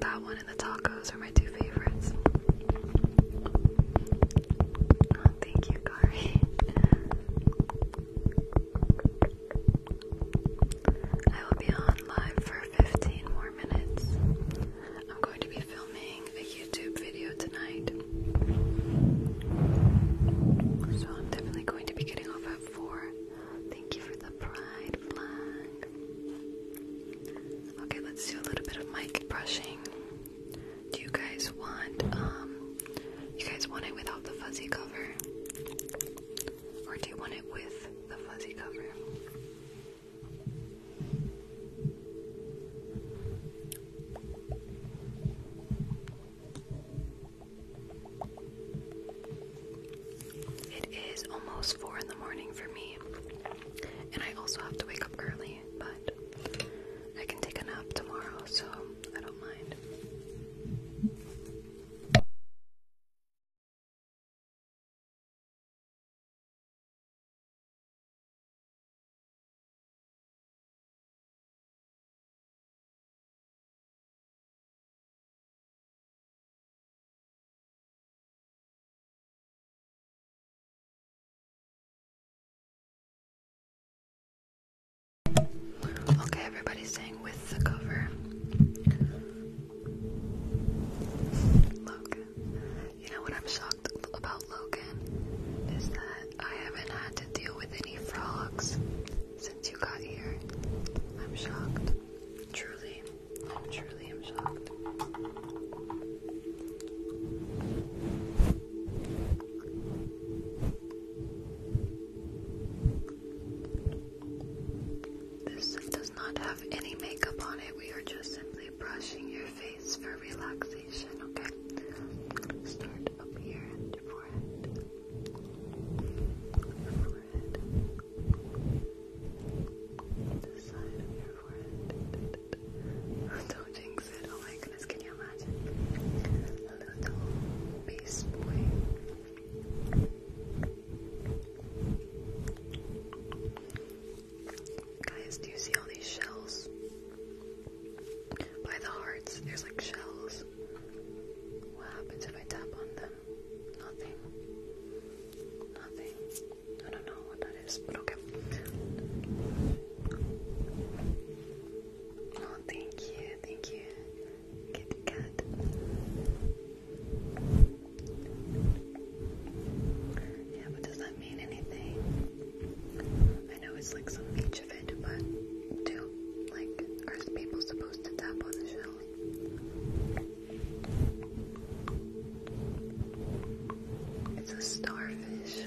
that one and the tacos are my two favorites. Oh, thank you, Kari. I will be on live for 15 more minutes. I'm going to be filming a YouTube video tonight. So I'm definitely going to be getting off at 4. Thank you for the pride flag. Okay, let's do a little bit of mic brushing. Do you guys want um you guys want it without the fuzzy cover? Or do you want it with the fuzzy cover? It is almost four in the morning for me. And I also have to wake up early, but I can take a nap tomorrow, so I don't mind. Okay, everybody's saying with the cover. Logan. You know what I'm shocked about Logan is that I haven't had to deal with any frogs since you got here. I'm shocked. Truly. I truly am shocked. This does not have any makeup on it. We are just simply brushing your face for relaxation, okay? Start up here forehead. Forehead. The side of your don't jinx it. Oh my goodness, can you imagine? A little beast boy. Guys, do you see all these shells? By the hearts, there's like shells. What happens if I tap on them? Nothing. Nothing. I don't know what that is, but okay. Oh, thank you, thank you, kitty cat. Yeah, but does that mean anything? I know it's like some each of it, but do like are people supposed to tap on the shell? It's a starfish.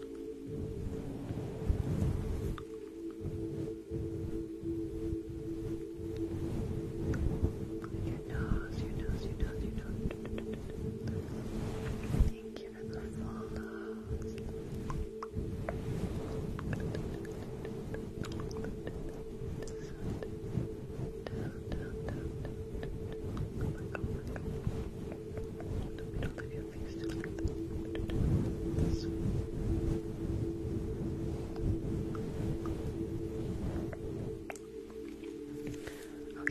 Your nose, your nose, your nose, your nose. Thank you for the follows. Down, down, down, down. Oh my god, oh my god. No, we don't live Okay,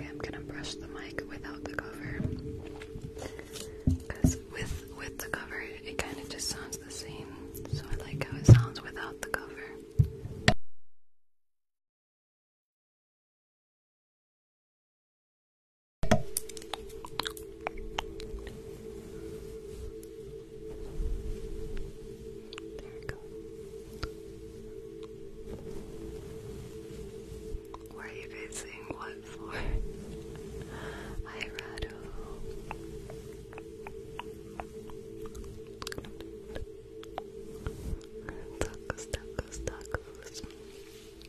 I'm gonna brush the mic without the cover. Because with with the cover it kinda just sounds the same. So I like how it sounds without the cover. There Where are you guys what for? I rattle. Tacos, tacos,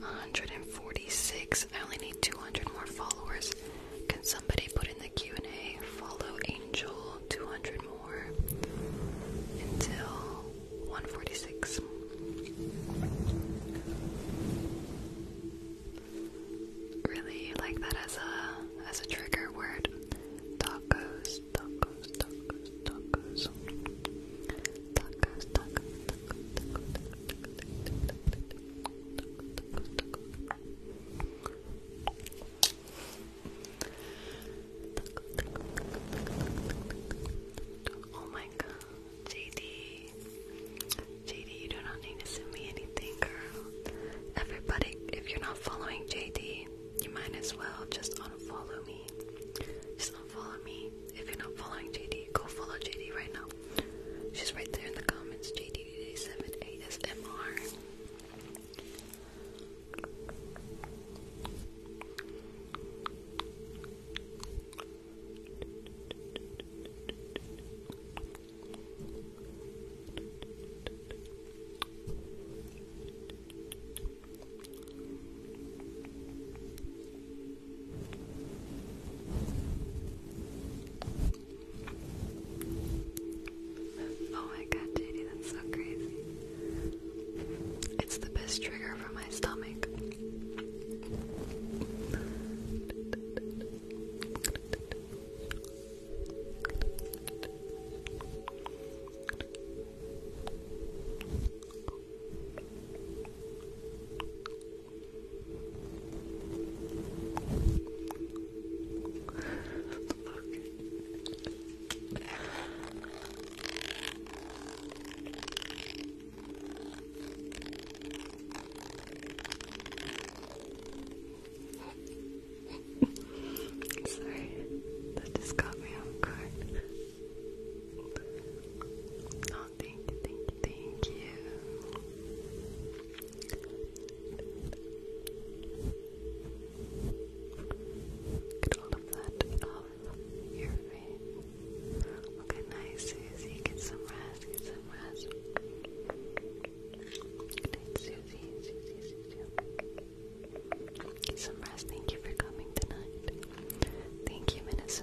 146. I only need 200 more followers. Can somebody put in the Q&A? Follow Angel 200 more until 146. Really like that as a as a trigger word. Tacos, tacos, tacos, tacos. Tacos, tacos, tacos, tacos, tacos, tacos, tacos, tacos, Oh my god, JD. JD, you do not need to send me anything, girl. Everybody, if you're not following JD, you might as well just unfollow me. Just unfollow me. If you're not following JD, go follow JD right now. She's right there in the comments, JDD7ASMR. Oh my god, JD, that's so crazy. It's the best trigger for my stomach. Sorry, that just got me off guard thank you, thank you, thank you. Get all of that off your face. Okay, nice, Susie. Get some rest, get some rest. Good night, Susie, Susie, Susie. Get some rest. Thank you for coming tonight. Thank you, Minnesota.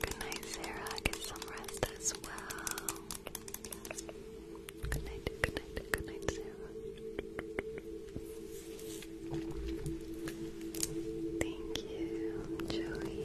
Good night, Sarah. Get some rest as well. Good night, good night, good night, Sarah. Thank you, Joey.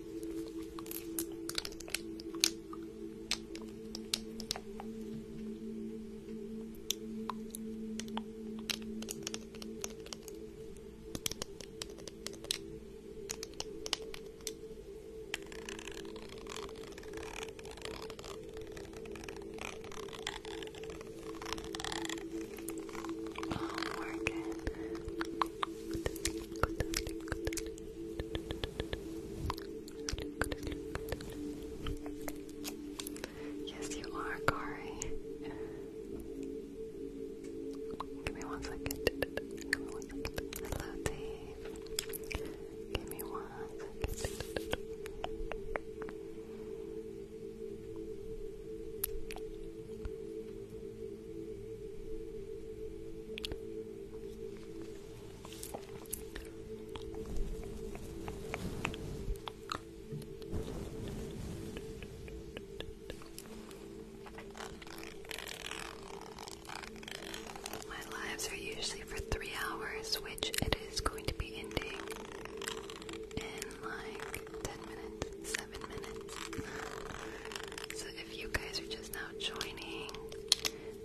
Oh, Morgan. Good, good, good, good, Yes, you are, Kari. Give me one second. Hello, Dave. Give me one second. My lives are usually for three hours, which it is going to be ending in like 10 minutes, 7 minutes if you guys are just now joining,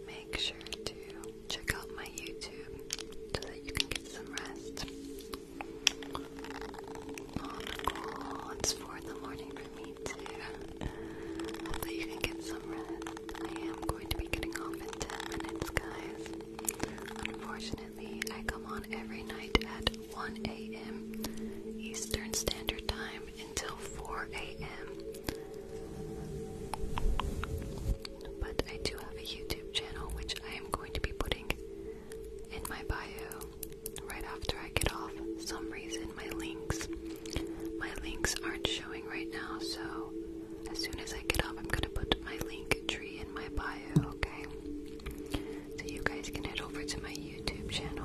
make sure to check out my YouTube so that you can get some rest. Oh, It's 4 in the morning for me, too. So you can get some rest. I am going to be getting off in 10 minutes, guys. Unfortunately, I come on every night at 1 a.m. Eastern Standard Time until 4 a.m. But I do have a YouTube channel which I am going to be putting in my bio right after I get off. some reason my links my links aren't showing right now, so as soon as I get off I'm gonna put my link tree in my bio, okay? So you guys can head over to my YouTube YouTube channel.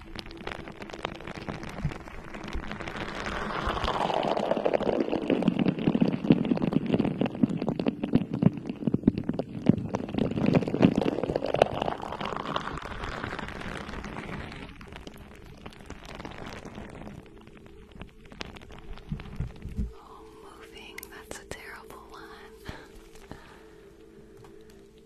Oh, moving, that's a terrible one.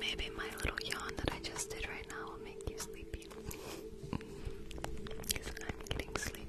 Maybe my little yawn that I just did right now will make you sleepy. I'm getting sleepy.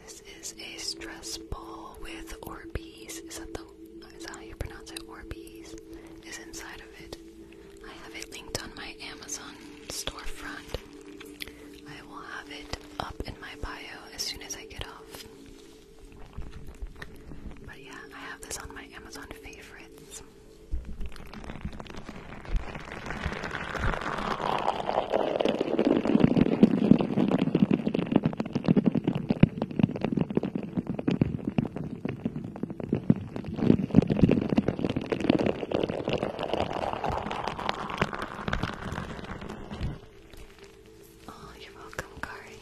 This is a stress ball with Orbeez. Is that the is how you pronounce it? Orbeez is inside of it. I have it linked on my Amazon storefront. I will have it up in my bio as soon as I get off. But yeah, I have this on my Amazon favorites. Oh, you're welcome, Kari.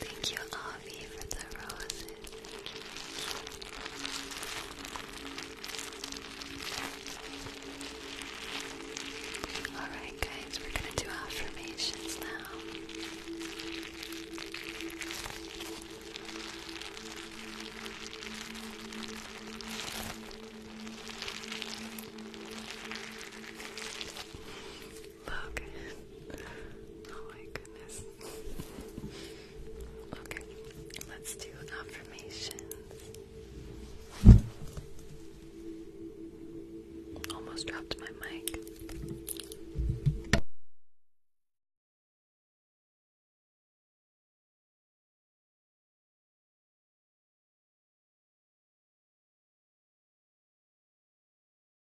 Thank you, uh, Alright, guys, we're going to do affirmations now. Logan. Oh my goodness. Okay, let's do affirmations. Almost dropped my mic.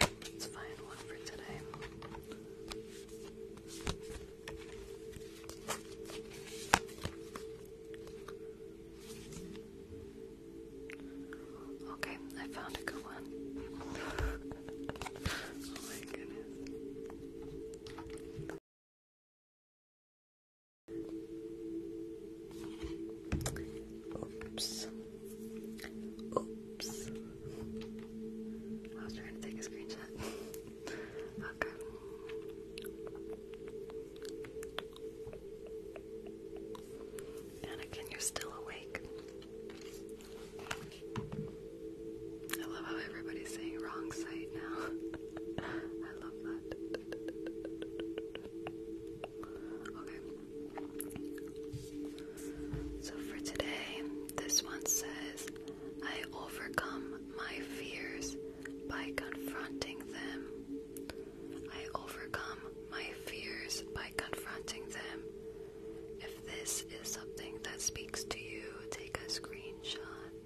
Let's find one for today. Okay, I found a good one. oh my goodness. Oops. Oops. I was trying to take a screenshot. okay. Anakin, you still awake. I love how everybody's saying wrong site now. I love that. So for today, this one says, I overcome my fears by confronting them. I overcome my fears by confronting them. If this is something that speaks to you, take a screenshot.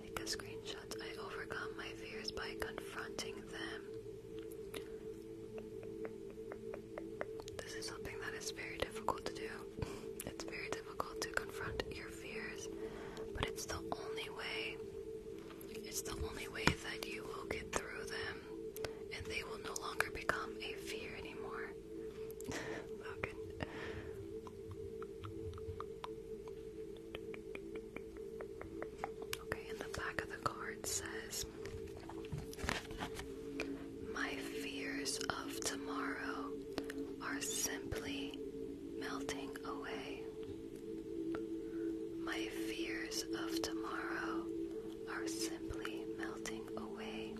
Take a screenshot. I overcome my fears by confronting them. This is something that is very difficult to do. It's very difficult to confront your fears, but it's the only way. It's the only way that you will get through them and they will no longer become a fear anymore. Oh, okay, in the back of the car Lord says, My fears of tomorrow are simply melting away. My fears of tomorrow are simply melting away.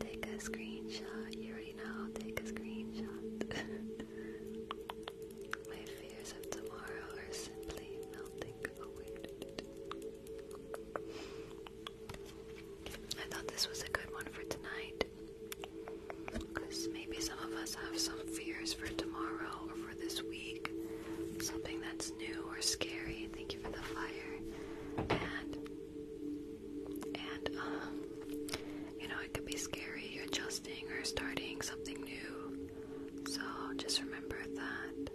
Take a screenshot. You already know. Take a screenshot. My fears of tomorrow are simply melting away. I thought this was a good one for tonight. Because maybe some of us have some fears for tomorrow or for this week. Something that's new or scary. Thank you for the fire. And, and, um, you know, it could be scary adjusting or starting something new. So just remember that.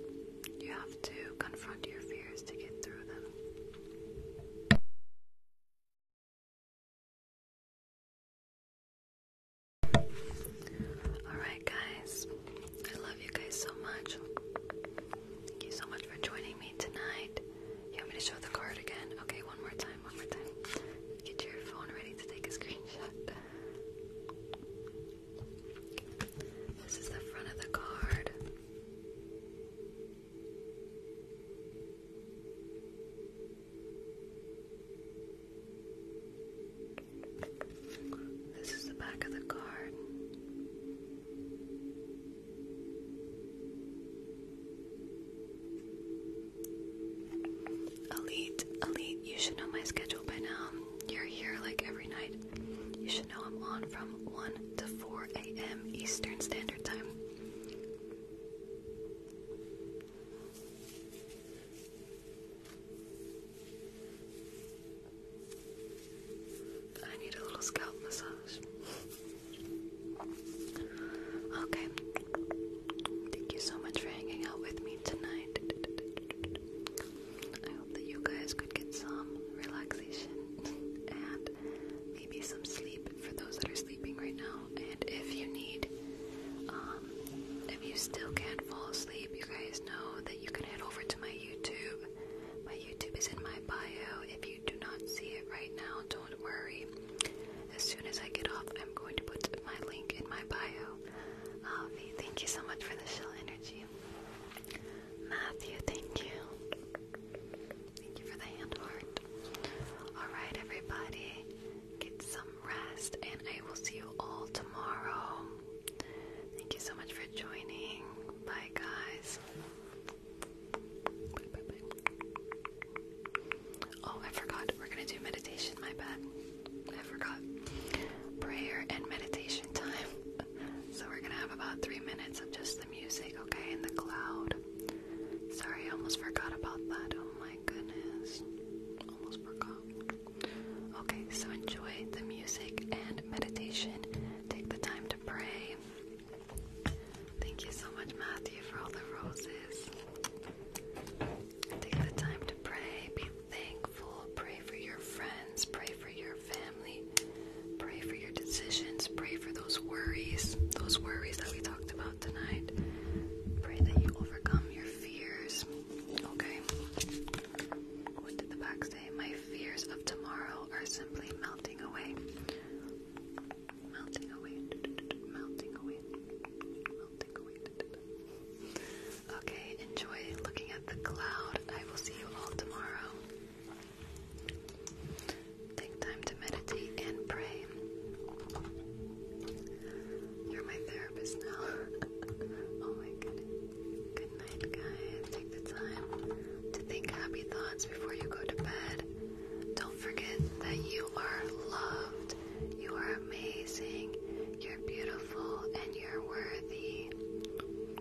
You have to confront your fears to get through them. Alright, guys, I love you guys so much. Thank you so much for joining me tonight. You want me to show the card again? Okay, one more time, one more time. Get your phone ready to take a screenshot. This is the front of the card. This is the back of the card. Elite, Elite, you should know my schedule by now. You're here like every night. You should know I'm on from 1 to 4 a.m. Eastern Standard Time. I need a little scalp massage. okay. Thank you so much for hanging out with me tonight. I hope that you guys could get some relaxation and maybe some sleep for those that are sleeping right now. And if you need, um, if you still can't fall asleep, you guys know that you can head over to my YouTube. My YouTube is in my bio. If you do not see it right now, don't worry. As soon as I get off, I'm going to put my link in my bio. thank you so much for the shell energy. Matthew, thank you. Thank you for the hand heart. Alright, everybody, get some rest, and I will see you all tomorrow. Thank you so much for joining. Bye, guys. Oh, I forgot. We're gonna do meditation, my bad. I forgot. Prayer and meditation time. So we're gonna have about three minutes of just the music, okay, In the cloud. Sorry, I almost forgot about that. Oh my goodness. Almost forgot. Okay, so enjoy the music and meditation. Take the time to pray. Thank you so much, Matthew, for all the roses. Take the time to pray thankful. Pray for your friends. Pray for your family. Pray for your decisions. Pray for those worries, those worries that we talked about tonight. Pray that you overcome your fears. Okay. What did the back say? My fears of tomorrow are simply melting away. Melting away. Melting away. Melting away. Okay, enjoy looking at the cloud. I will see you all tomorrow. Take time to meditate and pray. You're my therapist now. oh my goodness. Good night, guys. Take the time to think happy thoughts before you go to bed. Don't forget that you are loved, you are amazing, you're beautiful, and you're worthy.